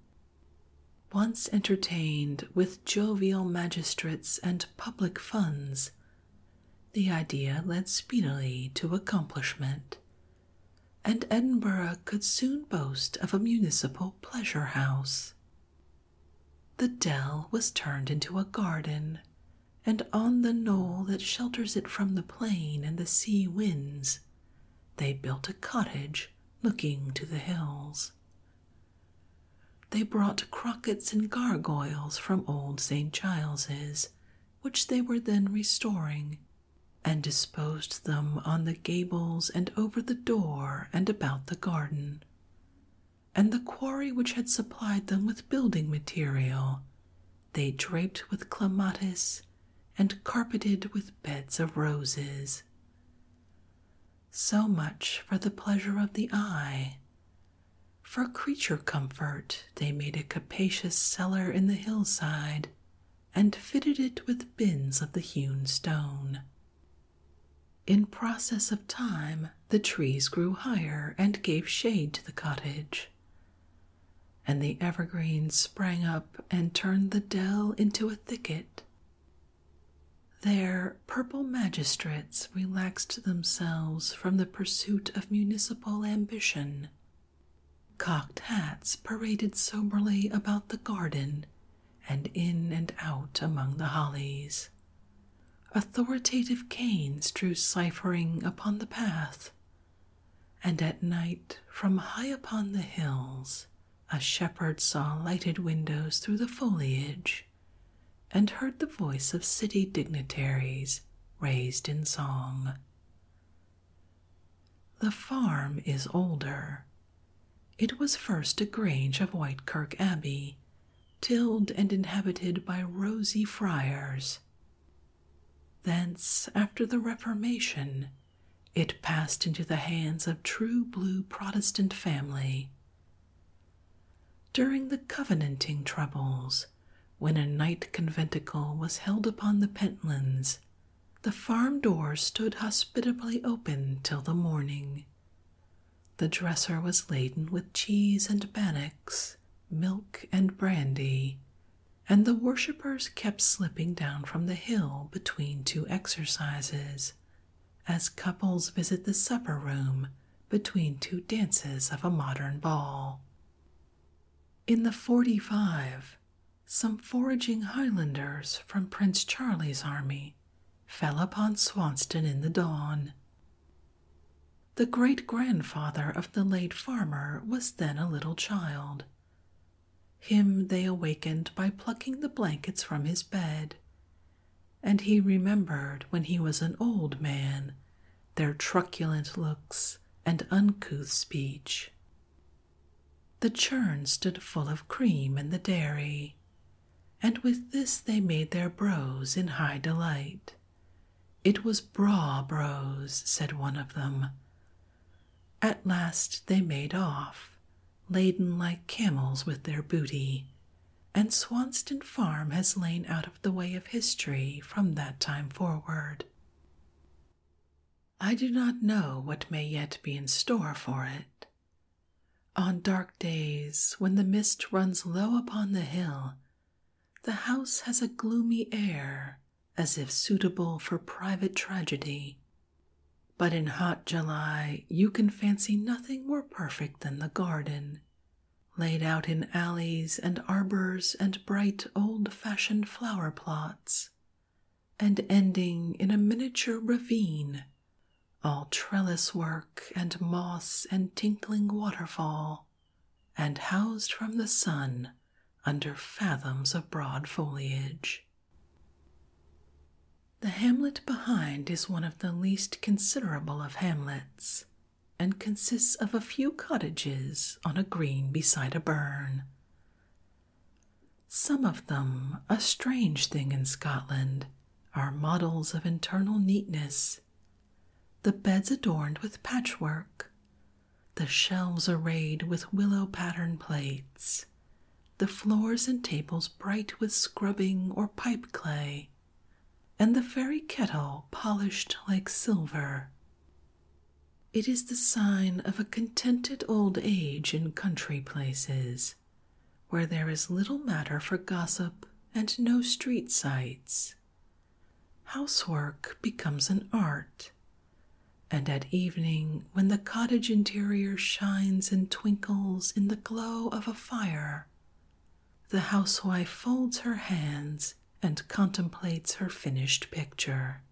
Once entertained with jovial magistrates and public funds, the idea led speedily to accomplishment, and Edinburgh could soon boast of a municipal pleasure house. The dell was turned into a garden, and on the knoll that shelters it from the plain and the sea winds, they built a cottage looking to the hills. They brought crockets and gargoyles from old St. Giles's, which they were then restoring, and disposed them on the gables and over the door and about the garden. And the quarry which had supplied them with building material they draped with clematis and carpeted with beds of roses. So much for the pleasure of the eye. For creature comfort, they made a capacious cellar in the hillside and fitted it with bins of the hewn stone. In process of time, the trees grew higher and gave shade to the cottage and the evergreens sprang up and turned the dell into a thicket. There, purple magistrates relaxed themselves from the pursuit of municipal ambition. Cocked hats paraded soberly about the garden and in and out among the hollies. Authoritative canes drew ciphering upon the path and at night, from high upon the hills, a shepherd saw lighted windows through the foliage, and heard the voice of city dignitaries raised in song. The farm is older. It was first a grange of Whitekirk Abbey, tilled and inhabited by rosy friars. Thence, after the Reformation, it passed into the hands of true blue Protestant family. During the Covenanting troubles, when a night conventicle was held upon the Pentlands, the farm door stood hospitably open till the morning. The dresser was laden with cheese and bannocks, milk and brandy, and the worshippers kept slipping down from the hill between two exercises, as couples visit the supper room between two dances of a modern ball. In the 45, some foraging Highlanders from Prince Charlie's army fell upon Swanston in the dawn. The great grandfather of the late farmer was then a little child, him they awakened by plucking the blankets from his bed, and he remembered when he was an old man their truculent looks and uncouth speech. The churn stood full of cream in the dairy, and with this they made their brose in high delight. It was braw brose, said one of them, at last they made off, laden like camels with their booty, and Swanston Farm has lain out of the way of history from that time forward. I do not know what may yet be in store for it. On dark days, when the mist runs low upon the hill, the house has a gloomy air as if suitable for private tragedy. But in hot July, you can fancy nothing more perfect than the garden, laid out in alleys and arbors and bright old fashioned flower plots, and ending in a miniature ravine, all trellis work and moss and tinkling waterfall, and housed from the sun under fathoms of broad foliage. The hamlet behind is one of the least considerable of hamlets, and consists of a few cottages on a green beside a burn. Some of them, a strange thing in Scotland, are models of internal neatness, the beds adorned with patchwork, the shelves arrayed with willow pattern plates, the floors and tables bright with scrubbing or pipe clay, and the very kettle polished like silver. It is the sign of a contented old age in country places, where there is little matter for gossip and no street sights. Housework becomes an art and at evening, when the cottage interior shines and twinkles in the glow of a fire, the housewife folds her hands and contemplates her finished picture.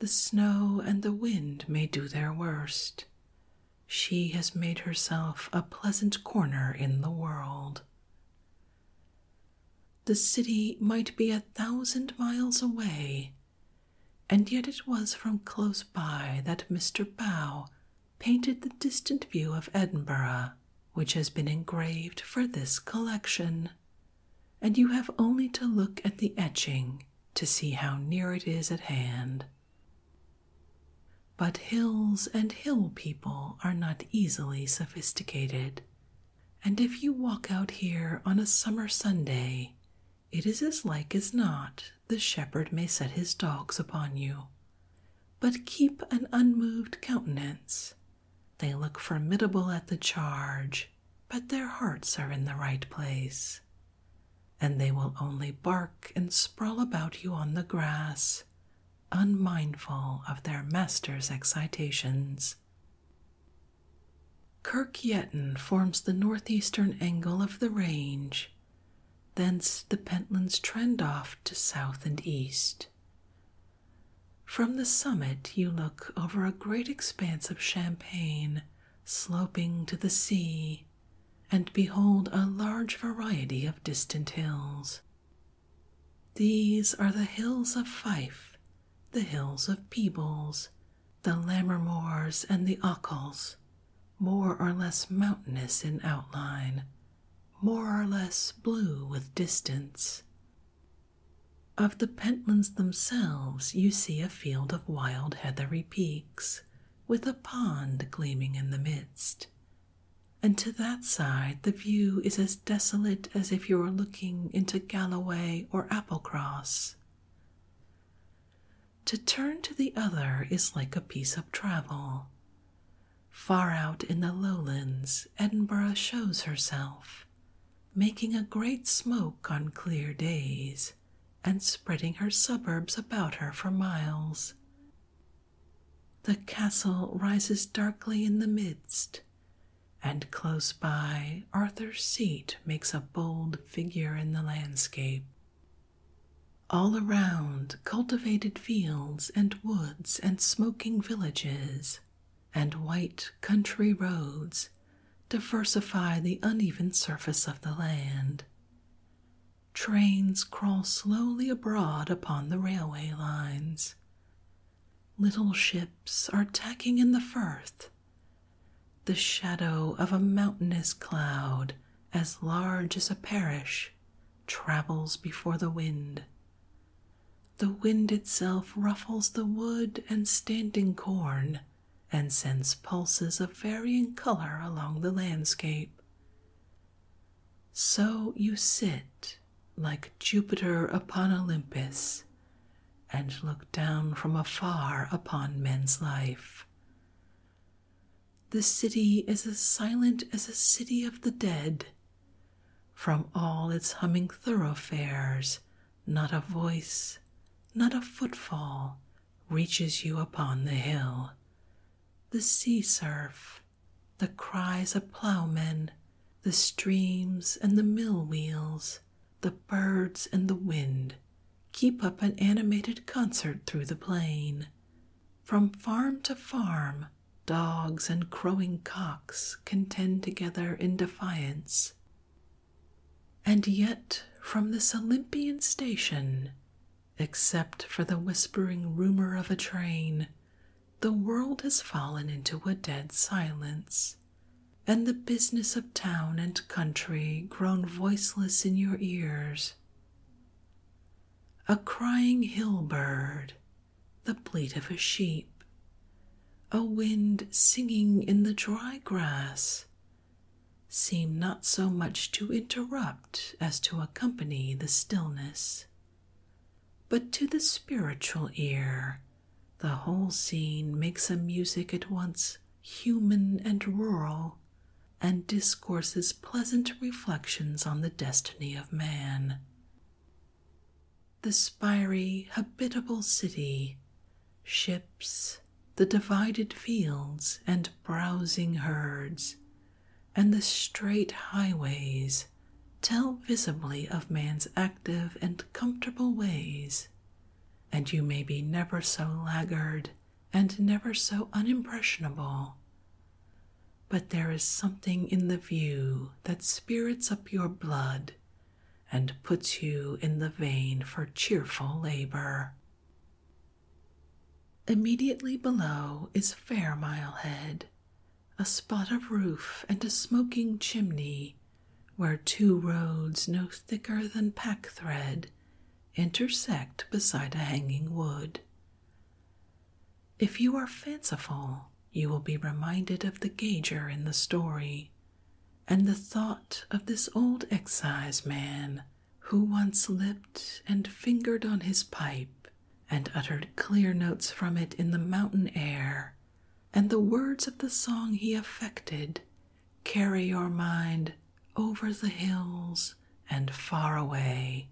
The snow and the wind may do their worst. She has made herself a pleasant corner in the world. The city might be a thousand miles away, and yet it was from close by that Mr. Bow painted the distant view of Edinburgh, which has been engraved for this collection. And you have only to look at the etching to see how near it is at hand. But hills and hill people are not easily sophisticated, and if you walk out here on a summer Sunday, it is as like as not the shepherd may set his dogs upon you, but keep an unmoved countenance. They look formidable at the charge, but their hearts are in the right place, and they will only bark and sprawl about you on the grass, unmindful of their master's excitations Kirkyetton forms the northeastern angle of the range, thence the Pentlands trend off to south and east. From the summit, you look over a great expanse of champagne sloping to the sea and behold a large variety of distant hills. These are the hills of Fife the hills of Peebles, the Lammermoors, and the Ockels, more or less mountainous in outline, more or less blue with distance. Of the Pentlands themselves, you see a field of wild heathery peaks, with a pond gleaming in the midst. And to that side, the view is as desolate as if you were looking into Galloway or Applecross. To turn to the other is like a piece of travel. Far out in the lowlands, Edinburgh shows herself, making a great smoke on clear days and spreading her suburbs about her for miles. The castle rises darkly in the midst, and close by Arthur's Seat makes a bold figure in the landscape. All around, cultivated fields and woods and smoking villages and white country roads diversify the uneven surface of the land. Trains crawl slowly abroad upon the railway lines. Little ships are tacking in the firth the shadow of a mountainous cloud as large as a parish travels before the wind. The wind itself ruffles the wood and standing corn and sends pulses of varying color along the landscape. So you sit like Jupiter upon Olympus and look down from afar upon men's life. The city is as silent as a city of the dead. From all its humming thoroughfares, not a voice, not a footfall, reaches you upon the hill. The sea surf, the cries of ploughmen, the streams and the mill wheels, the birds and the wind keep up an animated concert through the plain. From farm to farm, dogs and crowing cocks contend together in defiance. And yet, from this Olympian station, except for the whispering rumor of a train, the world has fallen into a dead silence and the business of town and country grown voiceless in your ears. A crying hill bird, the bleat of a sheep, a wind singing in the dry grass, seem not so much to interrupt as to accompany the stillness. But to the spiritual ear, the whole scene makes a music at once human and rural, and discourses pleasant reflections on the destiny of man. The spiry, habitable city, ships, the divided fields and browsing herds, and the straight highways tell visibly of man's active and comfortable ways, and you may be never so laggard and never so unimpressionable. But there is something in the view that spirits up your blood and puts you in the vein for cheerful labor. Immediately below is Fairmile Head, a spot of roof and a smoking chimney where two roads no thicker than pack thread intersect beside a hanging wood. If you are fanciful, you will be reminded of the gauger in the story, and the thought of this old excise man who once lipped and fingered on his pipe and uttered clear notes from it in the mountain air, and the words of the song he affected carry your mind over the hills and far away.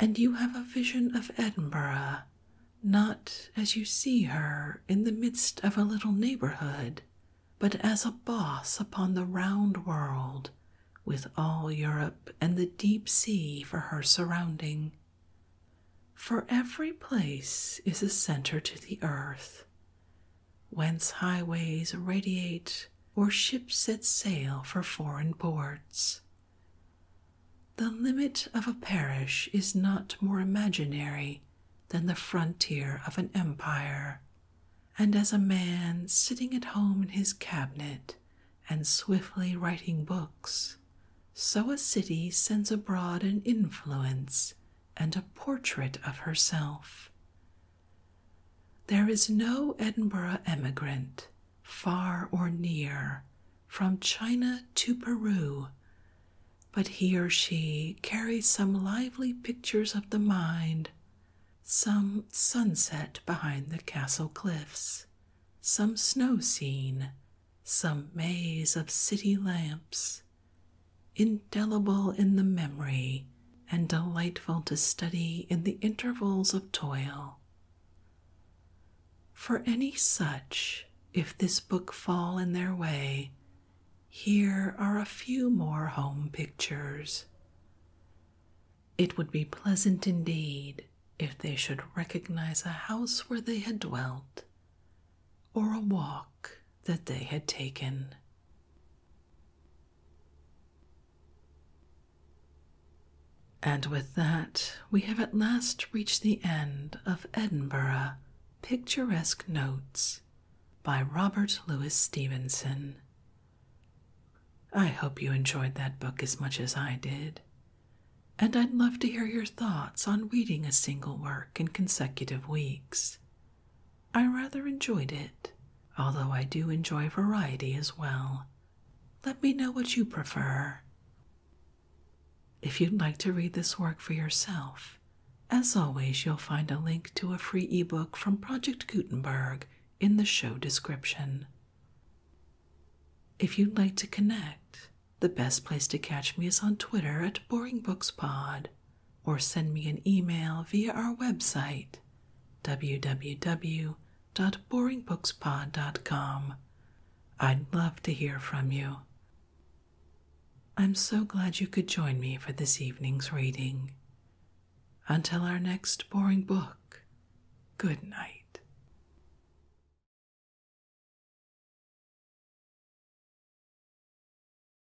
And you have a vision of Edinburgh, not as you see her in the midst of a little neighborhood, but as a boss upon the round world, with all Europe and the deep sea for her surrounding. For every place is a center to the earth, whence highways radiate or ships set sail for foreign ports. The limit of a parish is not more imaginary than the frontier of an empire, and as a man sitting at home in his cabinet and swiftly writing books, so a city sends abroad an influence and a portrait of herself. There is no Edinburgh emigrant, far or near, from China to Peru, but he or she carries some lively pictures of the mind, some sunset behind the castle cliffs, some snow scene, some maze of city lamps, indelible in the memory and delightful to study in the intervals of toil. For any such, if this book fall in their way, here are a few more home pictures. It would be pleasant indeed if they should recognize a house where they had dwelt, or a walk that they had taken. And with that, we have at last reached the end of Edinburgh Picturesque Notes by Robert Louis Stevenson. I hope you enjoyed that book as much as I did, and I'd love to hear your thoughts on reading a single work in consecutive weeks. I rather enjoyed it, although I do enjoy variety as well. Let me know what you prefer. If you'd like to read this work for yourself, as always, you'll find a link to a free ebook from Project Gutenberg in the show description. If you'd like to connect, the best place to catch me is on Twitter at BoringBooksPod or send me an email via our website www.boringbookspod.com. I'd love to hear from you. I'm so glad you could join me for this evening's reading. Until our next boring book, good night.